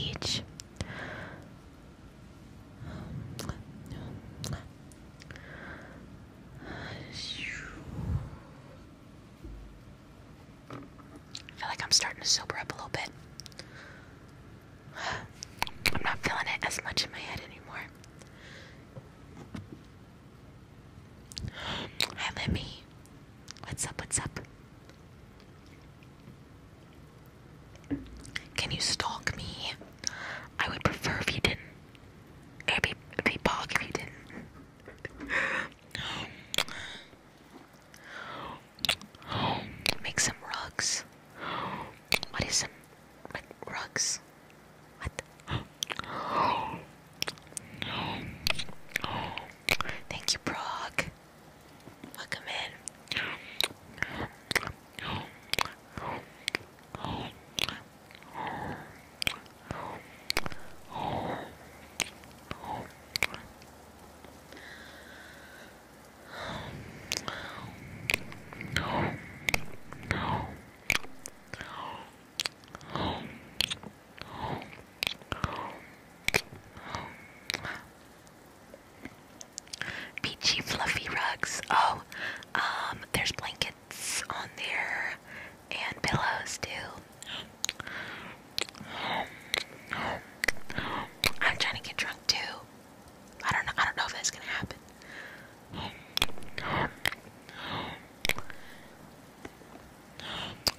A: feel like I'm starting to sober up a little bit. I'm not feeling it as much in my head anymore. Hi, Lemmy. What's up? What's up? Can you stalk me? I would prefer if you didn't. It'd be, be bog if you didn't. Make some rugs. What is some rugs? Thank you, Brock. Welcome in. No. No. No. No. Beachy fluffy rugs. Oh, um, there's blankets on there and pillows too. I'm trying to get drunk too. I don't know. I don't know if that's gonna happen.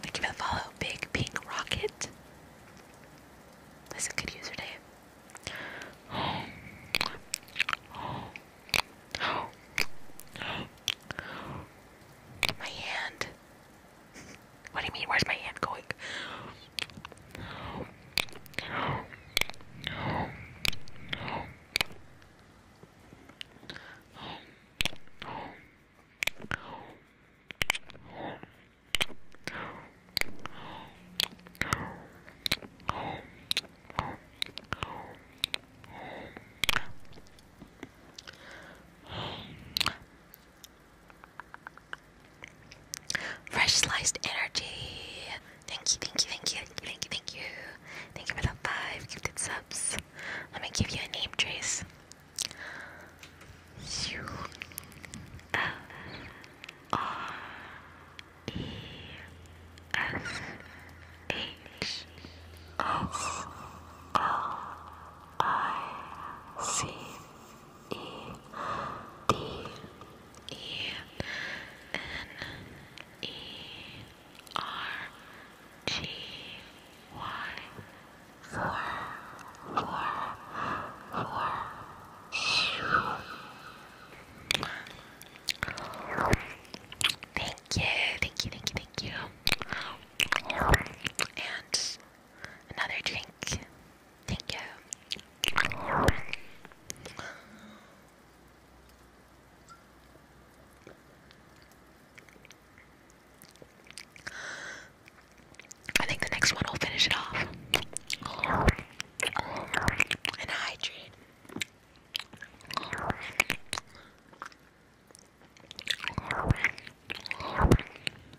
A: Thank you for follow, Big Pink Rocket. That's a good user name. My hand. What do you mean? Where's my hand going? Fresh sliced energy. Thank you, thank you, thank you, thank you, thank you. Thank you for the five gifted subs. Let me give you a name, Trace. U L R E S H O L I C E D E N E R G Y four four four Thank you, thank you, thank you, thank you. And another drink. Thank you. I think the next one will finish it off. And hydrate.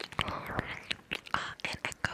A: Uh, and echo.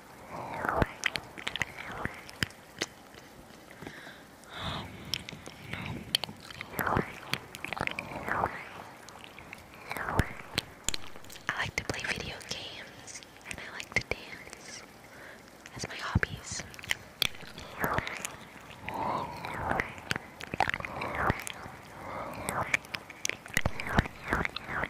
A: I like to play video games and I like to dance That's my hobbies.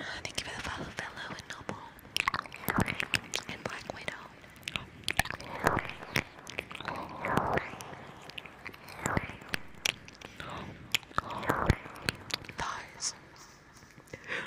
A: Thank you for the follow, fellow and noble and black widow. Thighs.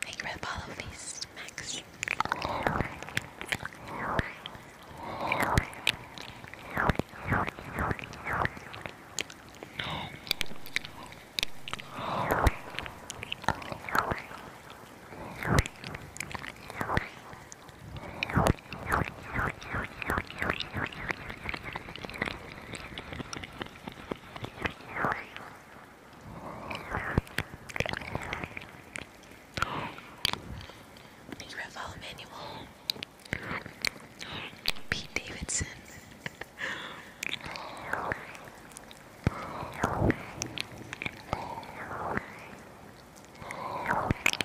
A: Thank you for the follow feast, Max. Ravel Manuel, Pete Davidson.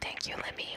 A: Thank you, Lemmy.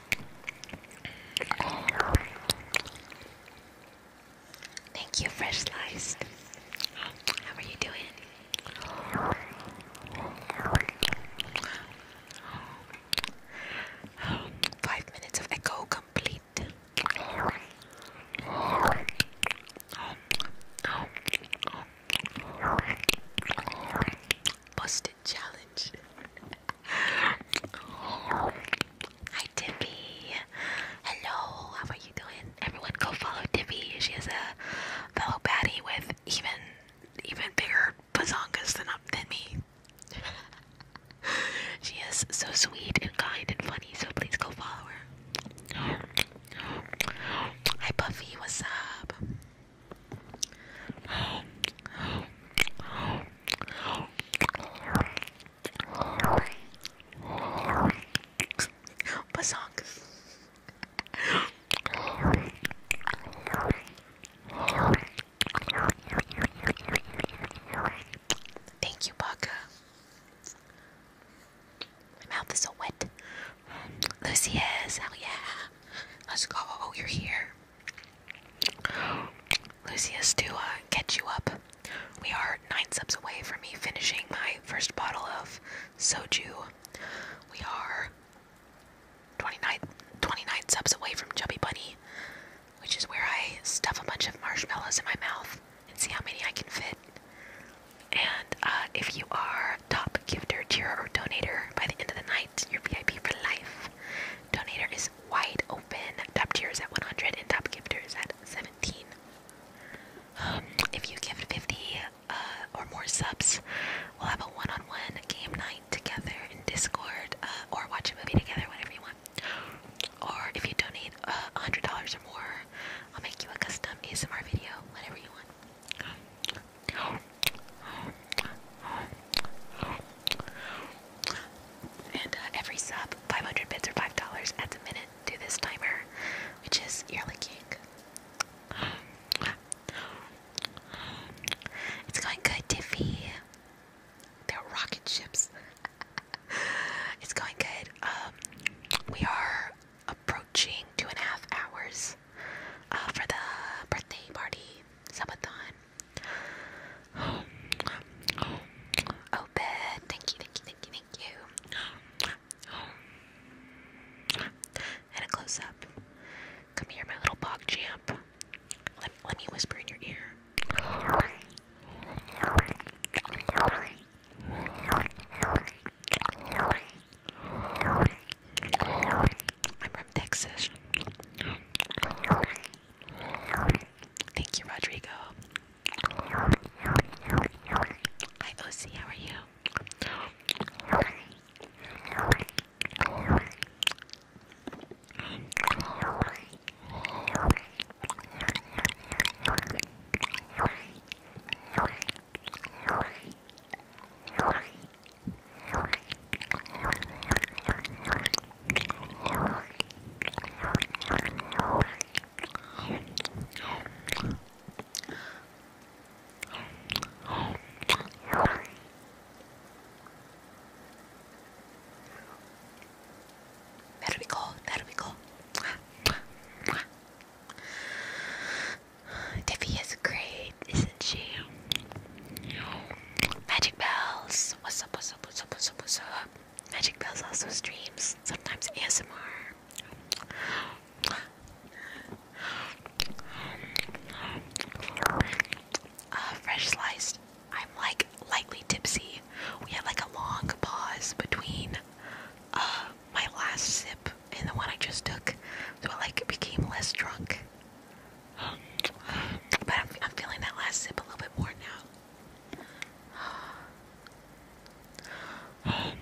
A: Thank you, Fresh sliced. How are you doing? Five minutes of echo complete. Bust challenge. Hi Tippy. Hello, how are you doing? Everyone go follow Tippy. She is a fellow baddie with even even bigger bazongas than up uh, than me. she is so sweet and kind and funny, so please go follow her. Hi Buffy, what's up? Basong. Thank you, Baka. My mouth is so wet. Lucy is, hell yeah. Let's go. Oh, you're here. Lucius, to catch uh, you up, we are nine subs away from me finishing my first bottle of soju. We are 29, subs away from Chubby Bunny, which is where I stuff a bunch of marshmallows in my mouth and see how many I can fit. And uh, if you are top gifter, tier, or donator by the end of the night, you're VIP for life. Donator is wide open. Top tiers at 100 and top gifters at 17. Um, if you give 50 uh, or more subs, we'll have a one-on-one game night together in Discord uh, or watch a movie together, whatever you want. Or if you donate uh, $100 or more, I'll make you a custom ASMR video, whatever you want. And uh, every sub, 500 bits or $5 at the minute to this timer, which is yearly king. It's going good, Tiffy. They're rocket ships. it's going good. Um, we are approaching two and a half hours uh, for the birthday party subathon. Oh, oh, bed. Thank you, thank you, thank you, thank you. And a close up. Come here, my little bog champ. Let, let me whisper in your ear. I'm from Texas. Thank you, Rodrigo. Hi, OC, how are you? There we go, there we go. Tiffy is great, isn't she? Magic bells. Bells. What's up, what's up, what's up, what's up, what's up? Magic Bells also streams, sometimes ASMR. Uh, fresh sliced. I'm like lightly tipsy. We had like a long pause between uh, my last sip and the one I just took, so I like became less drunk. But I'm, feeling that last sip a little bit more now.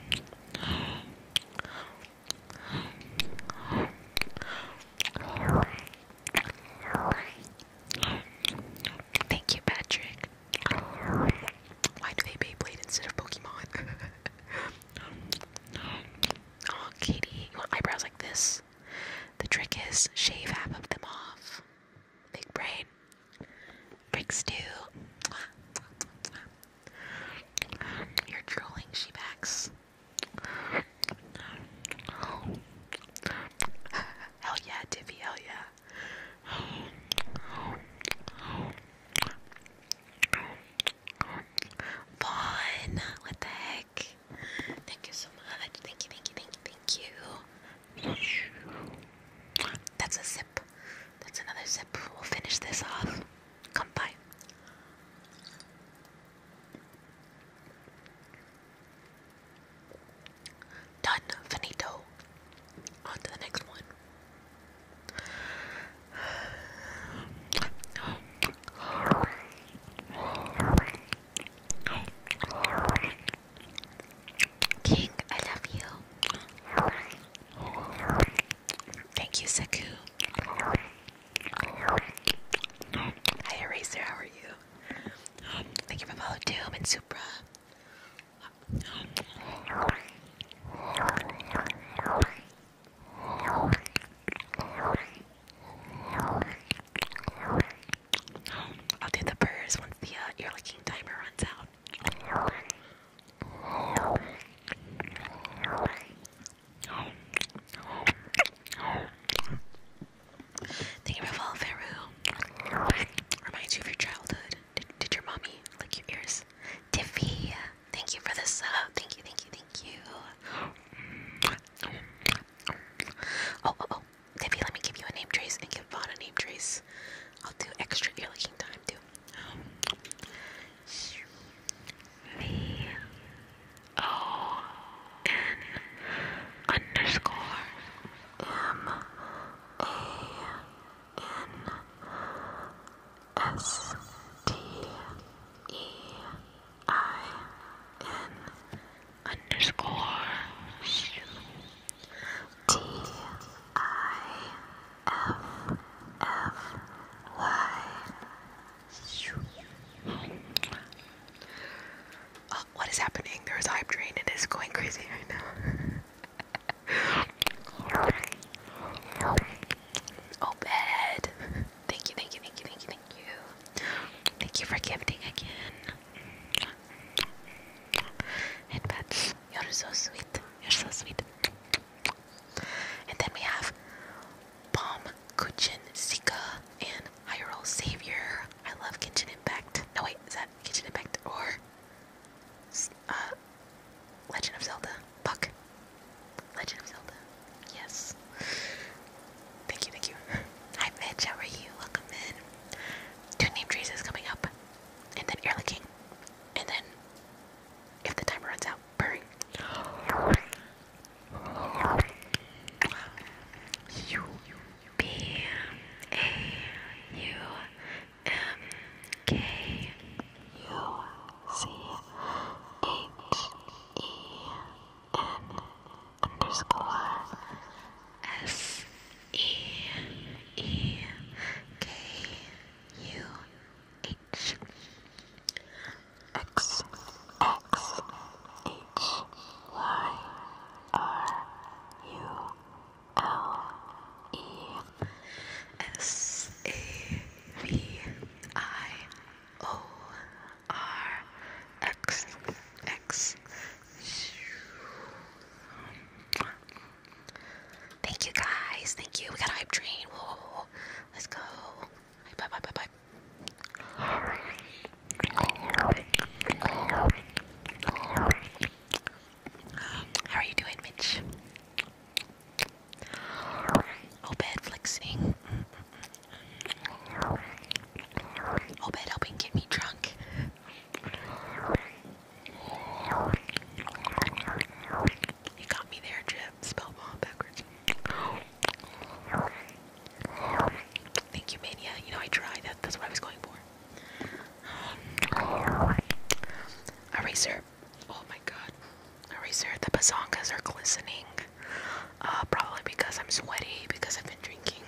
A: Thank you, Patrick. Why do they Beyblade instead of Pokemon? oh, Katie, eyebrows like this? The trick is shave half of them off. Big brain. Big stew. You're drooling, Shebax. Hell yeah, Dippy, hell yeah. Vaughn, what the heck? Thank you so much. Thank you, thank you, thank you, thank you. That's a sip. That's another sip. We'll finish this off. Come by. Done. Finito. On to the next one. King, I love you. Thank you, Saku. Hi, Eraser, how are you? Thank you for follow Doom and Supra. I'll do the purrs once the uh, ear licking timer runs out. Thank you, Ravel Faru. Reminds you of your childhood. did your mommy lick your ears? Tiffy, thank you for the sub. Thank you, thank you, thank you. Oh, oh, oh. Tiffy, let me give you a name trace and give Vaughn a name trace. I'll do extra ear licking time too. V um, O N underscore M A N S T E I N underscores T I F F Y. Uh, what is happening? There is a It is going crazy right now. oh, bad. Thank you, thank you, thank you, thank you, thank you. Thank you for gifting again. And you're so sweet. You're so sweet. And then we have Palm, Kuchen, Sika, and Hyrule Savior. I love Kitchen Impact. No, wait, is that Kitchen Impact or uh, Legend of Zelda? Puck. Legend of Zelda. Yes. Thank you, thank you. Hi Mitch, how are you? Welcome in. Two name trees is coming up. And then Early King. And then if the timer runs out, purring. U B A U M K U C H E N underscore S E E K U H X X H Y R U L E S A V I O R X X Thank you guys. Thank you. We got a hype train. Let's go. Bye bye bye bye. How are you doing, Mitch? Oh, bed flexing. Hope helping get me drunk. You got me there, Jip. Spelled mom backwards. Thank you, Mania. You know, I tried. That, that's what I was going for. Eraser. Oh my god. Eraser. The bazongas are glistening. Uh, probably because I'm sweaty because I've been drinking.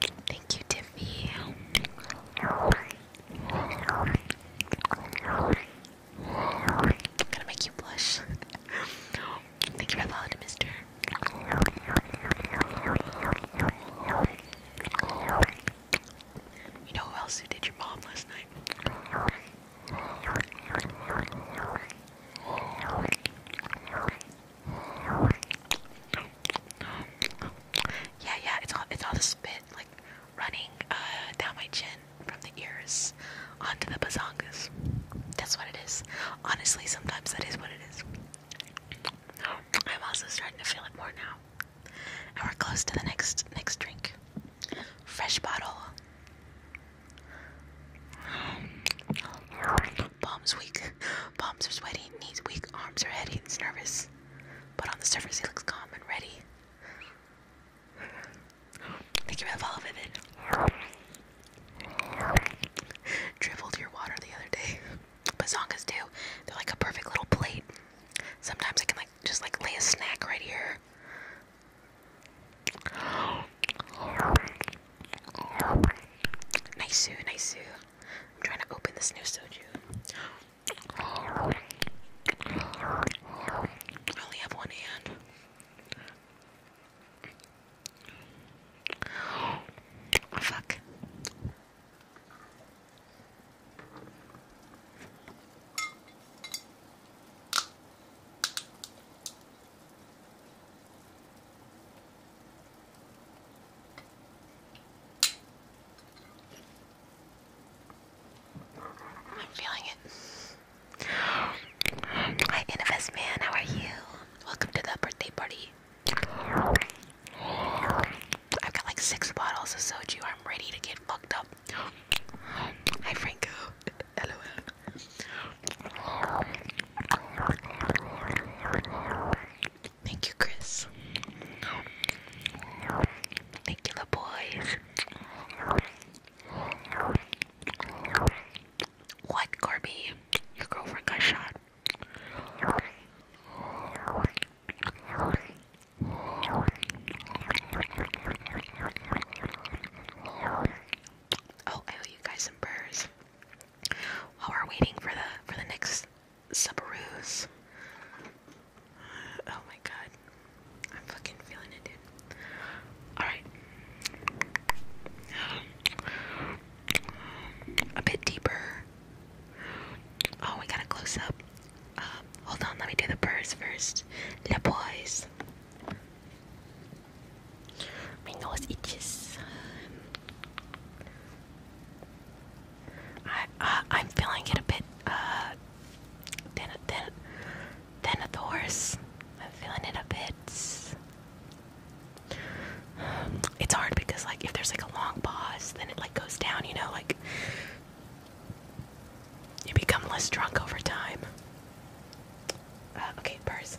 A: Thank you, Tiffy. gonna make you blush. Thank you for Mister. You know who else did your mom last night? Yeah, yeah, it's all it's all the spit like running uh, down my chin from the ears onto the bazongas. That's what it is. Honestly, sometimes that is what it is. I'm also starting to feel it more now. And we're close to the next next drink. Fresh bottle. Palms weak. Palms are sweaty, knees weak, arms are heavy. He's nervous. But on the surface, he looks calm and ready. Thank you for the follow, Dribbled your water the other day. but Bazongas too. They're like a perfect little plate. Sometimes I can like just like lay a snack right here. Nice, nice. I'm trying to open this new soju. I only have one hand. Oh, fuck. I'm feeling it. Hi, NFS man, how are you? Welcome to the birthday party. I've got like six bottles of soju. I'm ready to get fucked up. Hi, Franco. LOL. Thank you, Chris. Thank you, the boys. What, Corby? Your girlfriend got shot. Oh, I owe you guys some burrs while we're waiting for the for the next Subaru's. Oh my god. I'm fucking feeling it, Alright. A bit deeper. Oh, we got a close up. Uh, hold on, let me do the purrs first. Le boys. My nose itches. I, I'm feeling it a bit. Uh, then, then, then at the I'm feeling it a bit. it's hard because like if there's like a long pause, then it like goes down. You know, like you become less drunk over time. Uh, okay, purse.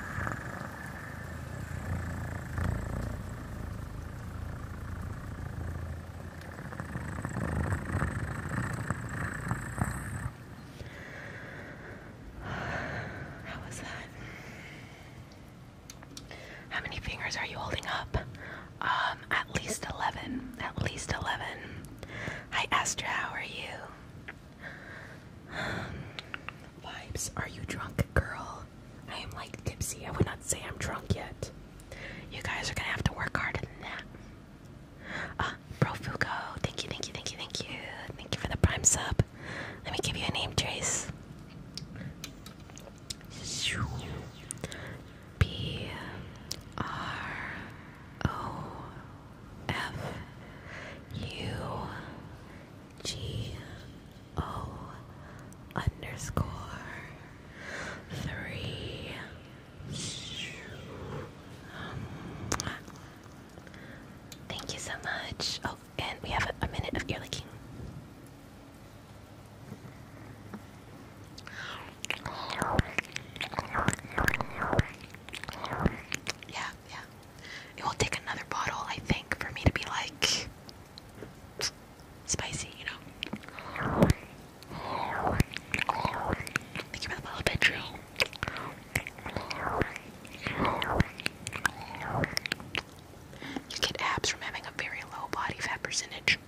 A: How was that? How many fingers are you holding up? Um, at least 11. At least 11. Hi, Astra, how are you? Vibes, are you drunk, girl? I am like tipsy. I would not say I'm drunk yet. You guys are gonna have to work harder than that. Uh, Bro thank you, thank you, thank you, thank you. Thank you for the prime sub. Let me give you a name, Trace. B R O F U G O underscore three. Thank you so much. Oh, and we have a, minute of ear licking. Yeah, yeah. It will take another bottle, I think, for me to be like spicy, you know. Thank you for the bottle, Pedro. You get abs from having a very low body fat percentage.